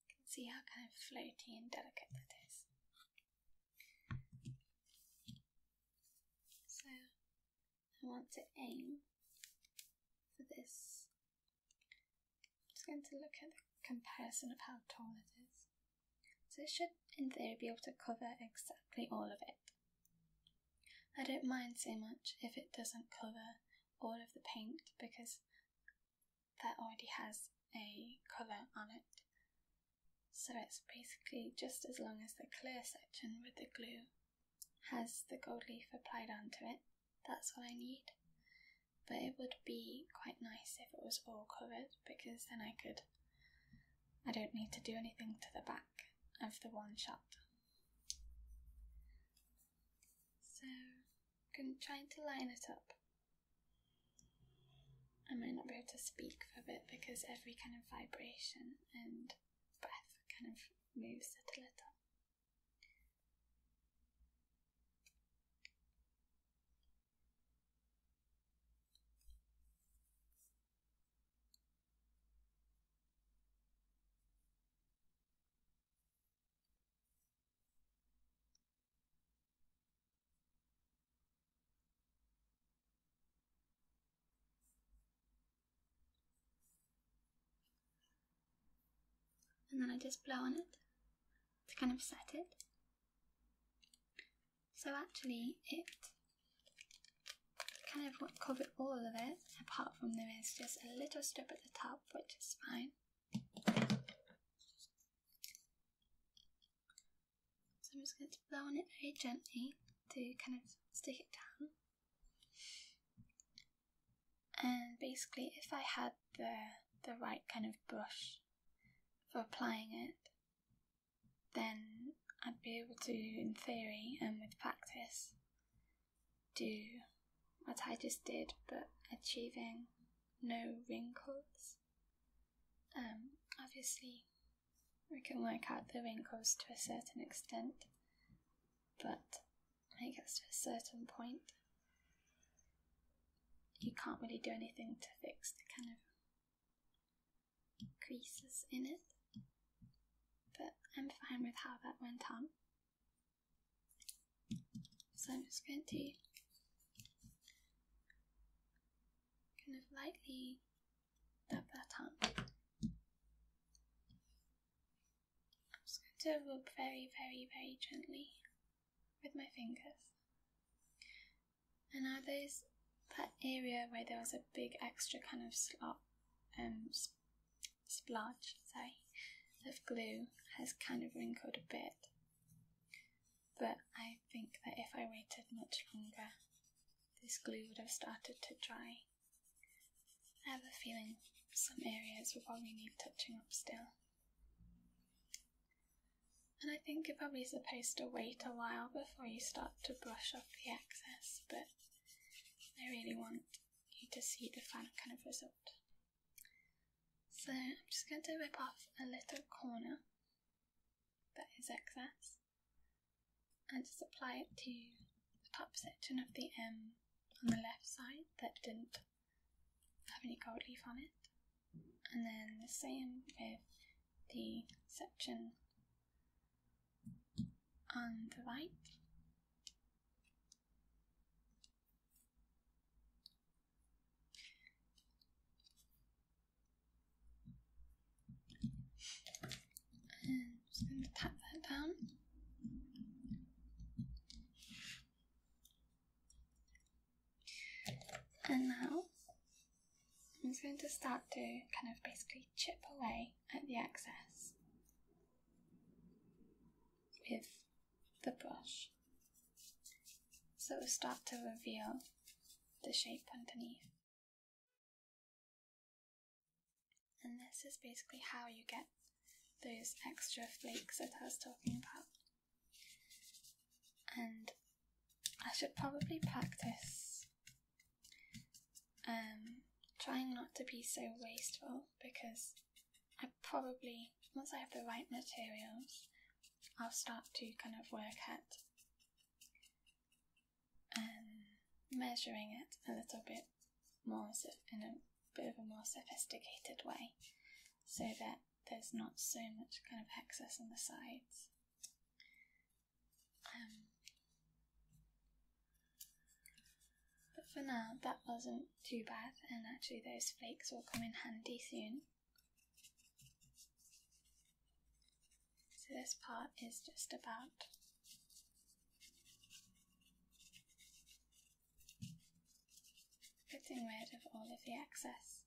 You can see how kind of floaty and delicate that is. So I want to aim for this. I'm just going to look at the comparison of how tall it is. So it should, in theory, be able to cover exactly all of it. I don't mind so much if it doesn't cover all of the paint because that already has a colour on it. So it's basically just as long as the clear section with the glue has the gold leaf applied onto it, that's all I need. But it would be quite nice if it was all covered because then I could, I don't need to do anything to the back of the one shot. So I'm going to line it up I might not be able to speak for a bit because every kind of vibration and breath kind of moves it a little. And then I just blow on it to kind of set it. So actually, it kind of covered all of it, apart from there is just a little strip at the top, which is fine. So I'm just going to blow on it very gently to kind of stick it down. And basically, if I had the the right kind of brush for applying it, then I'd be able to, in theory and with practice, do what I just did, but achieving no wrinkles. Um, obviously, we can work out the wrinkles to a certain extent, but when it gets to a certain point, you can't really do anything to fix the kind of creases in it. But I'm fine with how that went on. Sinus 20 kind of lightly tap that tongue. I'm just going to rub very, very, very gently with my fingers. And now those that area where there was a big extra kind of slot, um, splotch, sorry, of glue has kind of wrinkled a bit. But I think that if I waited much longer, this glue would have started to dry. I have a feeling some areas will probably need touching up still. And I think you're probably supposed to wait a while before you start to brush off the excess, but I really want you to see the final kind of result. So I'm just going to rip off a little corner that is excess and just apply it to the top section of the M um, on the left side that didn't have any gold leaf on it. And then the same with the section on the right. And just going to pat that down. And now I'm just going to start to kind of basically chip away at the excess with the brush so it will to reveal the shape underneath. And this is basically how you get those extra flakes that I was talking about. And I should probably practice um, trying not to be so wasteful because I probably, once I have the right materials, I'll start to kind of work at um, measuring it a little bit more in a bit of a more sophisticated way so that there's not so much kind of excess on the sides. Um, but for now, that wasn't too bad, and actually, those flakes will come in handy soon. So this part is just about getting rid of all of the excess.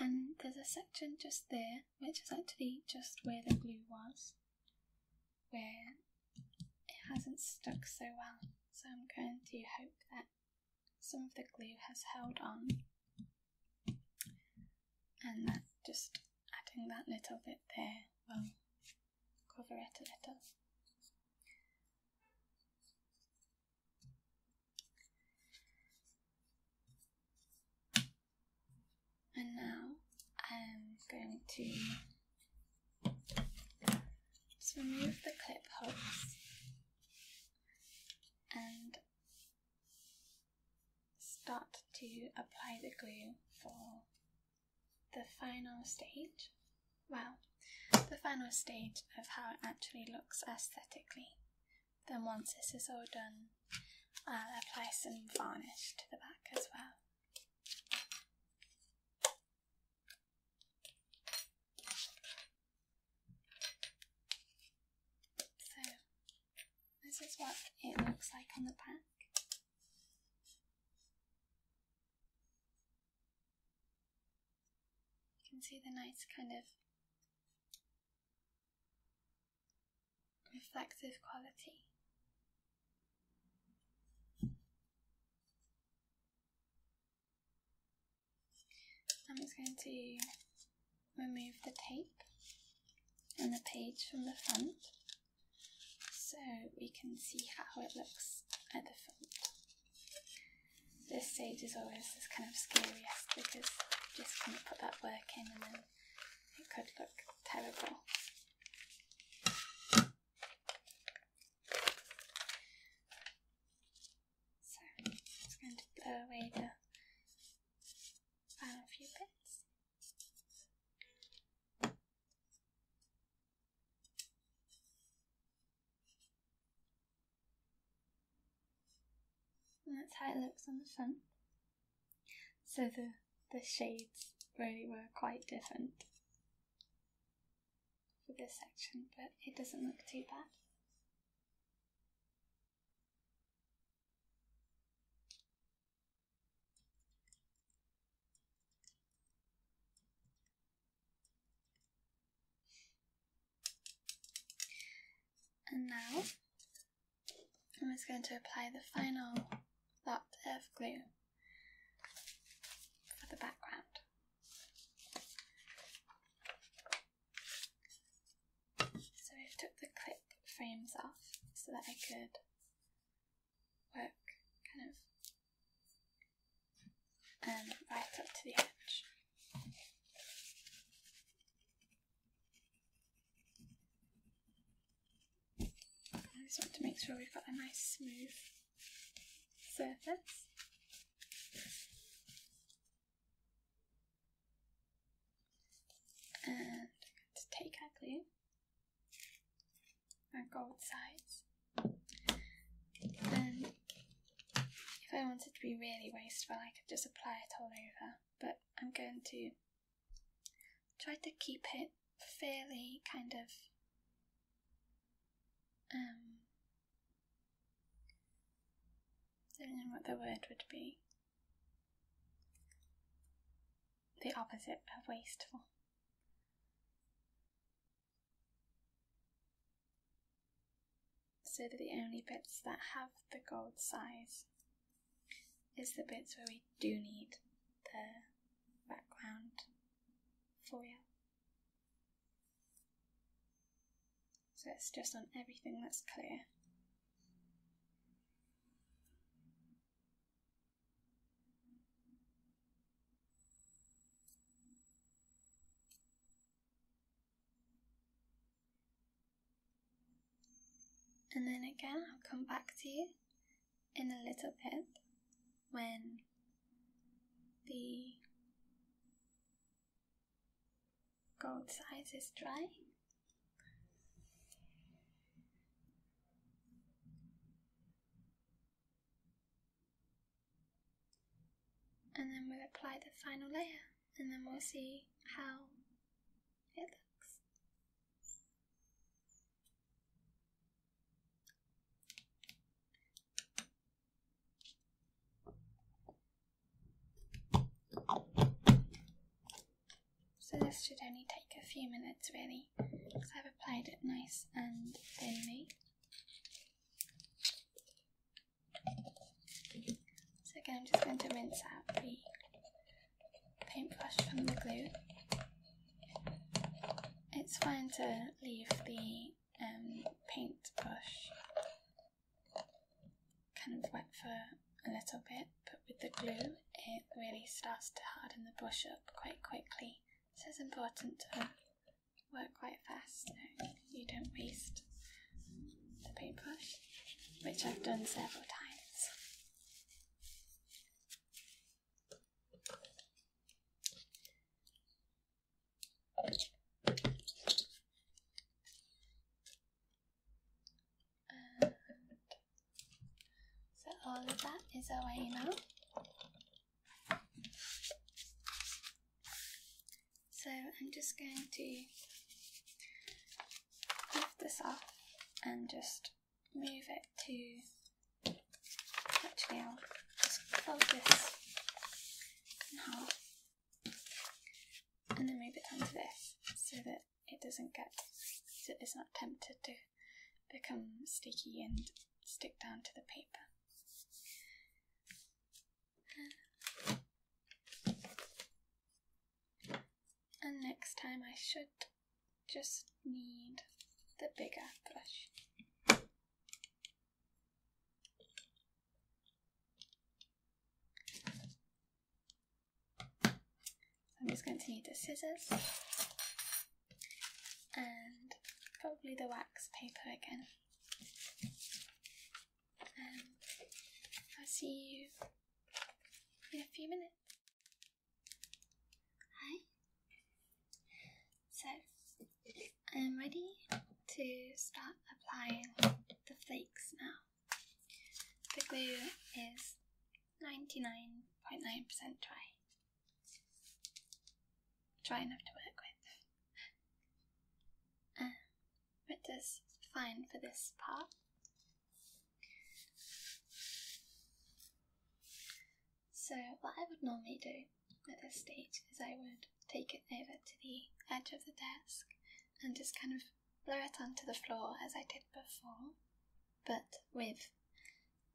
And there's a section just there, which is actually just where the glue was, where it hasn't stuck so well, so I'm going to hope that some of the glue has held on and that just adding that little bit there will cover it a little. And now I'm going to just remove the clip hooks and start to apply the glue for the final stage. Well, the final stage of how it actually looks aesthetically. Then once this is all done, I'll apply some varnish to the back as well. So, this is what it looks like on the back. You can see the nice kind of reflective quality. I'm just going to remove the tape and the page from the front so we can see how it looks at the front. This stage is always this kind of scariest because you just kind of put that work in and then it could look terrible. So just going to blow away the final few bits. that's how it looks on the front. So the the shades really were quite different for this section, but it doesn't look too bad. And now I'm just going to apply the final lot of glue for the background. So I've took the clip frames off so that I could work kind of um, right up to the edge. I just want to make sure we've got a nice smooth surface. And take our glue and go with sides. Then, if I wanted to be really wasteful, I could just apply it all over. But I'm going to try to keep it fairly kind of um, I Don't know what the word would be. The opposite of wasteful. So the only bits that have the gold size is the bits where we do need the background for you. So it's just on everything that's clear. And then again, I'll come back to you in a little bit when the gold size is dry. And then we'll apply the final layer and then we'll see how it looks. So this should only take a few minutes really, because I've applied it nice and thinly. So again, I'm just going to rinse out the paintbrush from the glue. It's fine to leave the um, paintbrush kind of wet for a little bit, but with the glue, it really starts to harden the brush up quite quickly. So it's important to work quite fast so you don't waste the paintbrush, which I've done several times so all of that is away now. So I'm just going to lift this off and just move it to actually I'll just fold this and then move it onto this so that it doesn't get, it's not tempted to become sticky and stick down to the paper. And next time I should just need the bigger brush. I'm just going to need the scissors and probably the wax paper again. Um, I'll see you in a few minutes. Hi, so I'm ready to start applying the flakes now. The glue is 99.9% percent dry. Dry enough to work with. Uh, it does fine for this part. So what I would normally do at this stage, is I would take it over to the edge of the desk and just kind of blow it onto the floor as I did before, but with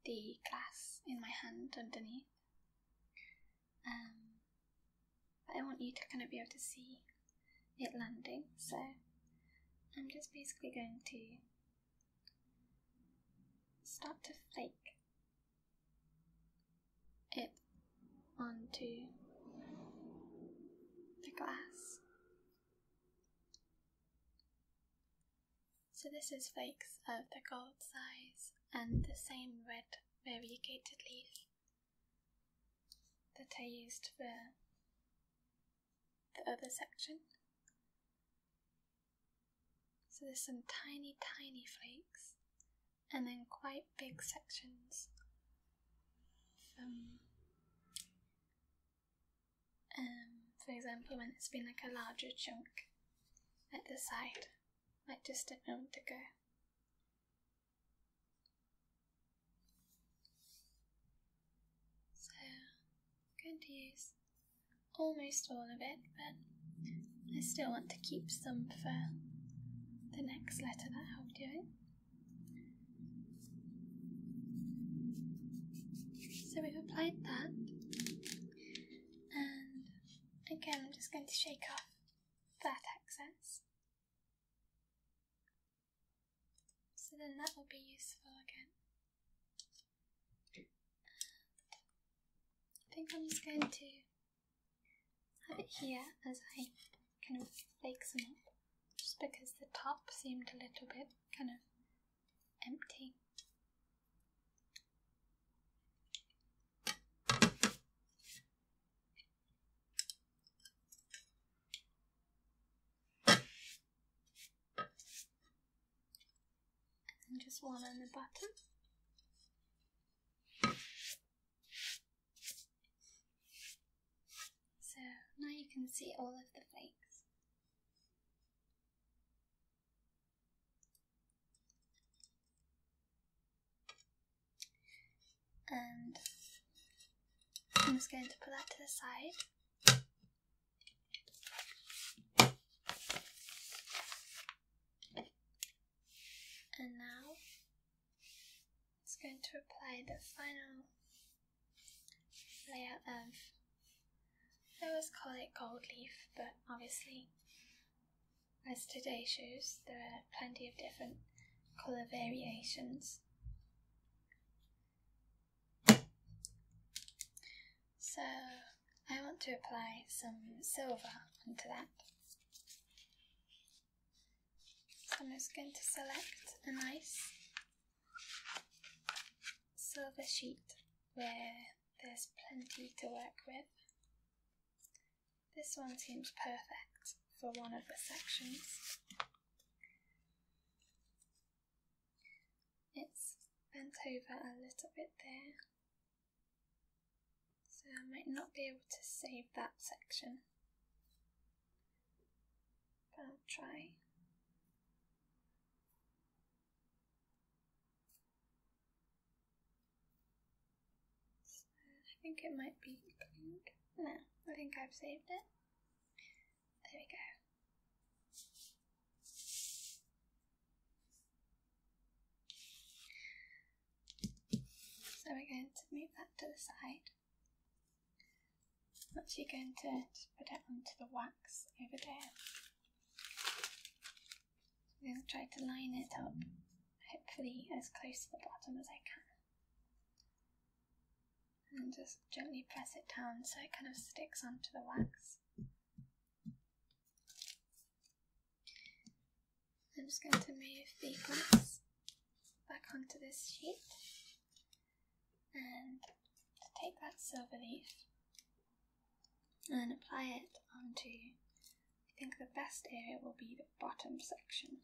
the glass in my hand underneath. Um, I want you to kind of be able to see it landing, so I'm just basically going to start to flake it onto the glass. So this is flakes of the gold size and the same red variegated leaf that I used for the other section. So there's some tiny, tiny flakes and then quite big sections um, for example when it's been like a larger chunk at the side like just a moment ago so I'm going to use almost all of it but I still want to keep some for the next letter that I'll do it. So we've applied that, and again, I'm just going to shake off that excess. So then that will be useful again. I think I'm just going to have it here as I kind of bake some up, just because the top seemed a little bit kind of empty. And just one on the bottom. So now you can see all of the flakes. And I'm just going to put that to the side. And now it's going to apply the final layer of, I always call it gold leaf, but obviously, as today shows, there are plenty of different colour variations. So I want to apply some silver onto that. So I'm just going to select a nice silver sheet where there's plenty to work with. This one seems perfect for one of the sections. It's bent over a little bit there so I might not be able to save that section. But I'll try. I think it might be No, I think I've saved it. There we go. So we're going to move that to the side. actually going to put it onto the wax over there. I'm going to try to line it up, hopefully as close to the bottom as I can. And just gently press it down so it kind of sticks onto the wax. I'm just going to move the glass back onto this sheet and take that silver leaf and apply it onto, I think the best area will be the bottom section.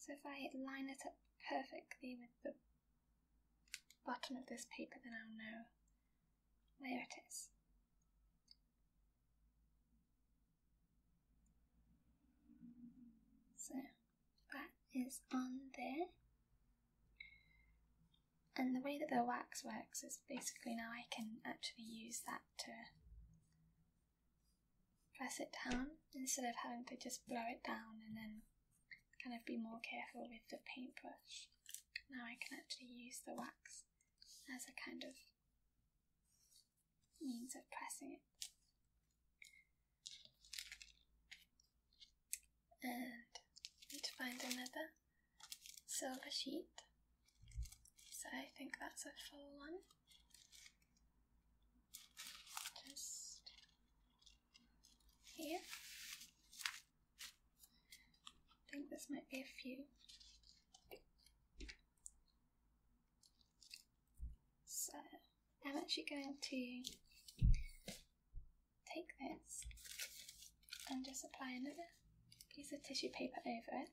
So if I line it up perfectly with the bottom of this paper, then I'll know where it is. So that is on there. And the way that the wax works is basically now I can actually use that to press it down instead of having to just blow it down and then kind of be more careful with the paintbrush. Now I can actually use the wax as a kind of means of pressing it. And need to find another silver sheet. So I think that's a full one. Just here. I think this might be a few. So I'm actually going to take this and just apply another piece of tissue paper over it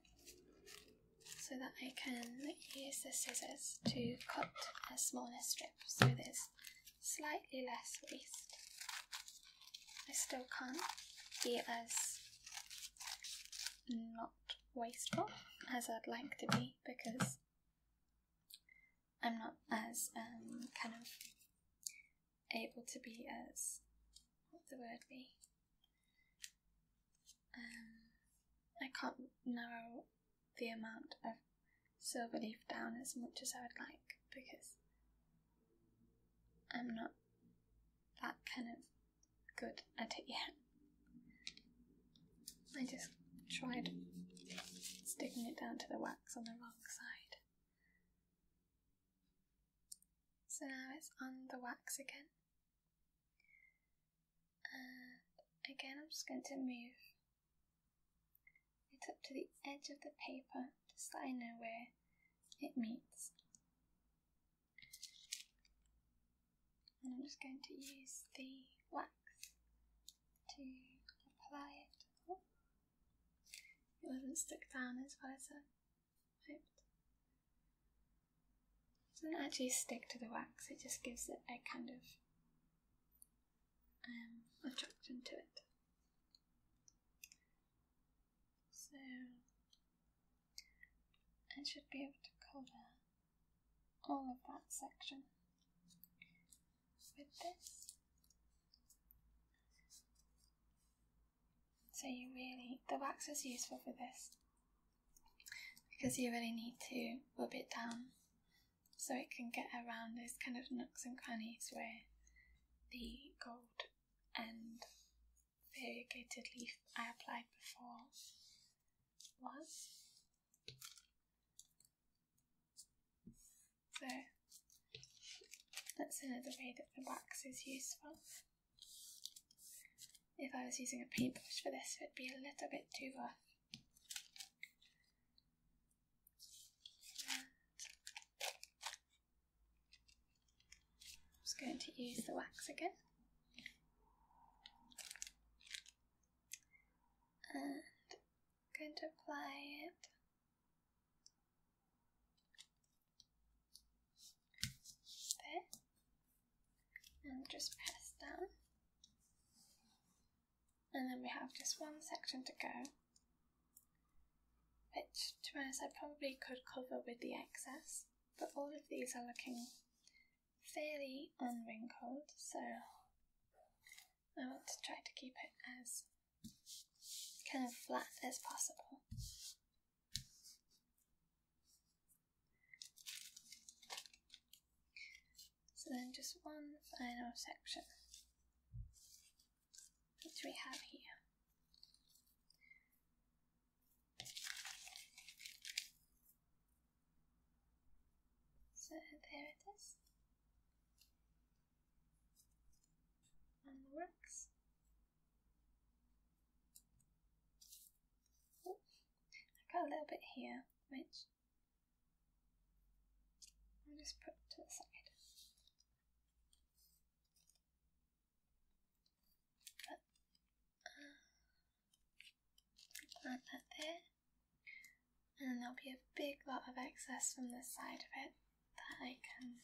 so that I can use the scissors to cut a smaller strip so there's slightly less waste. I still can't be as not wasteful as I'd like to be because I'm not as um, kind of able to be as what the word be. Um, I can't narrow the amount of silver leaf down as much as I would like because I'm not that kind of Good at it, yeah. I just tried sticking it down to the wax on the wrong side. So now it's on the wax again. And again, I'm just going to move it up to the edge of the paper just so I know where it meets. And I'm just going to use the wax to apply it. Oh, it wasn't stuck down as well as I hoped. doesn't actually stick to the wax, it just gives it a kind of um, attraction to it. So I should be able to cover all of that section with this. So you really, the wax is useful for this because you really need to rub it down so it can get around those kind of nooks and crannies where the gold end variegated leaf I applied before was. So that's another way that the wax is useful. If I was using a paintbrush for this, it'd be a little bit too rough. I'm just going to use the wax again. And going to apply it there and just press down. And then we have just one section to go which to be honest I probably could cover with the excess but all of these are looking fairly unwrinkled, so I want to try to keep it as kind of flat as possible. So then just one final section, which we have here. So there it is. And works. Ooh, I got a little bit here, which I'll just put to the side. Plant that there, and there'll be a big lot of excess from this side of it that I can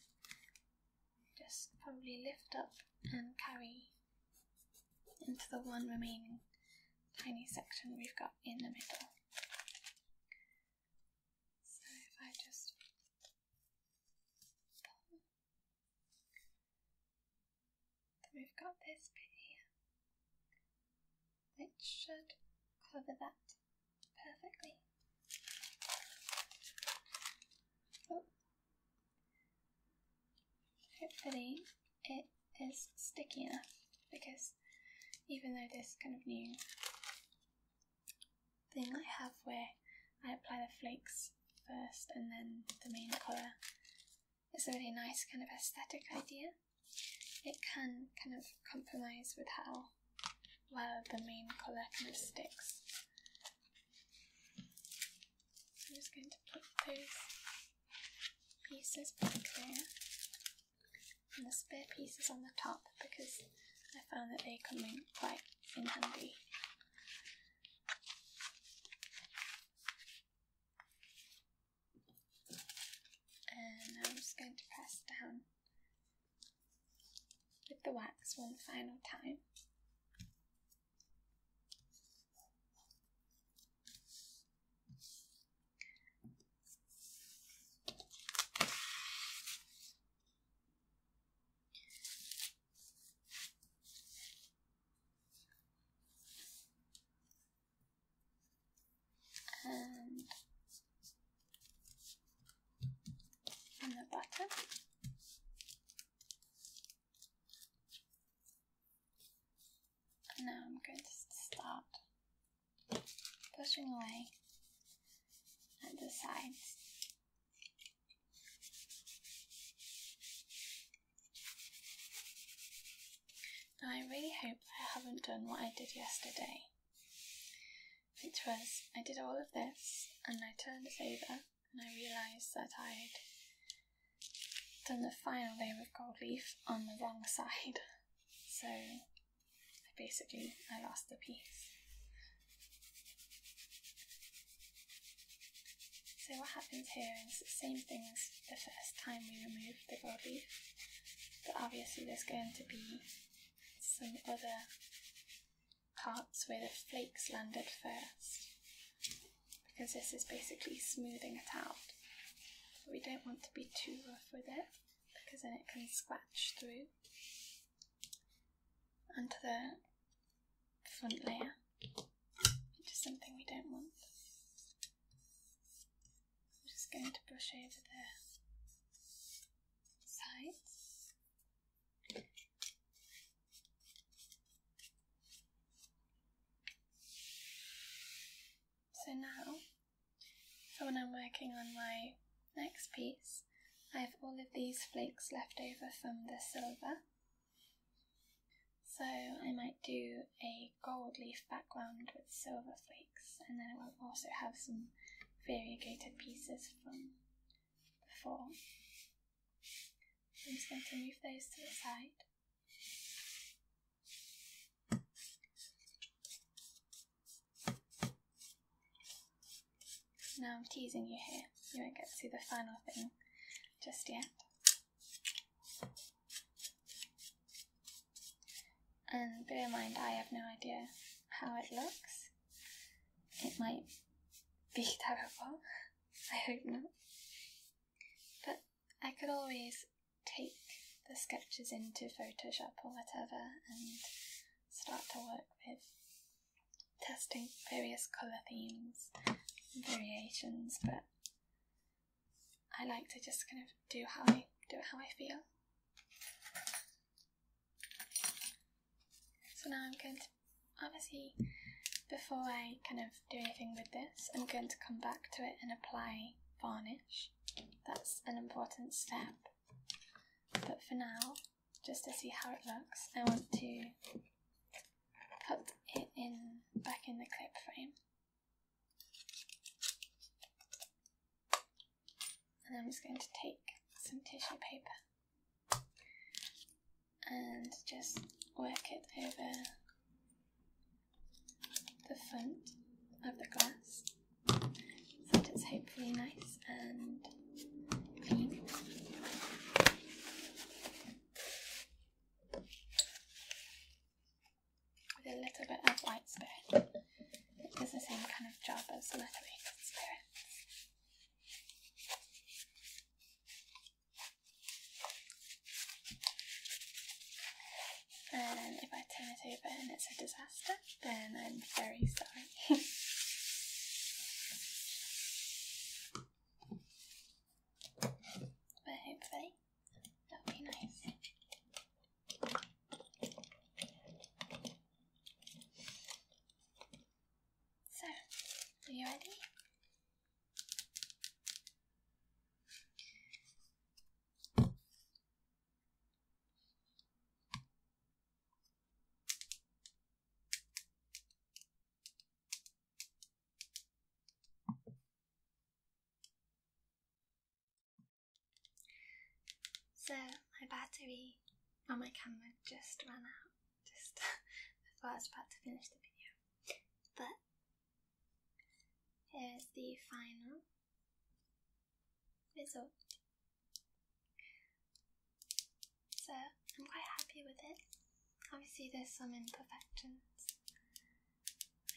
just probably lift up and carry into the one remaining tiny section we've got in the middle. So if I just then we've got this bit here, which should cover that perfectly. Oh. Hopefully it is sticky enough because even though this kind of new thing I have where I apply the flakes first and then the main colour. It's a really nice kind of aesthetic idea. It can kind of compromise with how well the main colour kind of sticks. I'm just going to put those pieces back there and the spare pieces on the top because I found that they come in quite in handy. And I'm just going to press down with the wax one final time and the bottom. now I'm going to start pushing away at the sides. I really hope I haven't done what I did yesterday, which was I did all of this and I turned it over and I realised that I'd done the final layer of gold leaf on the wrong side. So I basically I lost the piece. So what happens here is the same thing as the first time we removed the body, but obviously there's going to be some other parts where the flakes landed first, because this is basically smoothing it out. we don't want to be too rough with it, because then it can scratch through. And the front layer, which something we don't want. I'm just going to brush over the sides. So now, for when I'm working on my next piece, I have all of these flakes left over from the silver so I might do a gold leaf background with silver flakes and then I will also have some variegated pieces from before. I'm just going to move those to the side. Now I'm teasing you here, you won't get to see the final thing just yet. And bear in mind, I have no idea how it looks. It might be terrible. I hope not. But I could always take the sketches into Photoshop or whatever and start to work with testing various colour themes variations, but I like to just kind of do how I do it how I feel. So now I'm going to obviously before I kind of do anything with this, I'm going to come back to it and apply varnish. That's an important step. But for now, just to see how it looks, I want to put it in back in the clip frame. And I'm just going to take some tissue paper and just work it over the front of the glass so that it's hopefully nice and clean with a little bit of white spirit. It does the same kind of job as methylated spirits. And if I turn it over and it's a disaster, then I'm very sorry. But hopefully, that will be nice. So, are you ready? So my battery on my camera just ran out just before I was about to finish the video. But here's the final result. So I'm quite happy with it obviously there's some imperfections,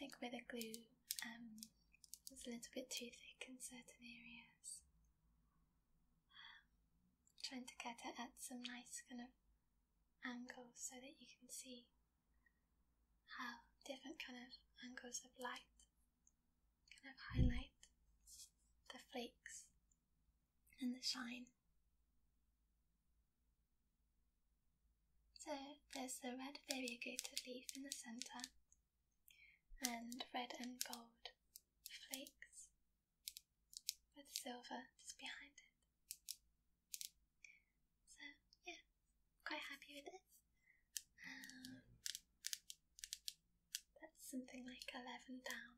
like where the glue um, was a little bit too thick in certain areas. trying to get it at some nice kind of angle so that you can see how different kind of angles of light kind of highlight the flakes and the shine so there's the red variegated leaf in the centre and red and gold flakes with silver just behind it. So yeah, quite happy with it. Um, that's something like 11 down.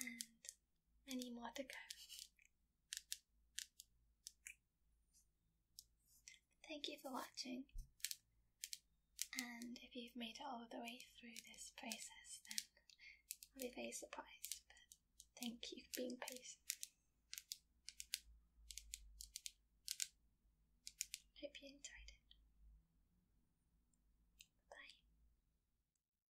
And many more to go. Thank you for watching. And if you've made it all the way through this process, then I'll be very surprised. But thank you for being patient. Hope you enjoyed it. Bye.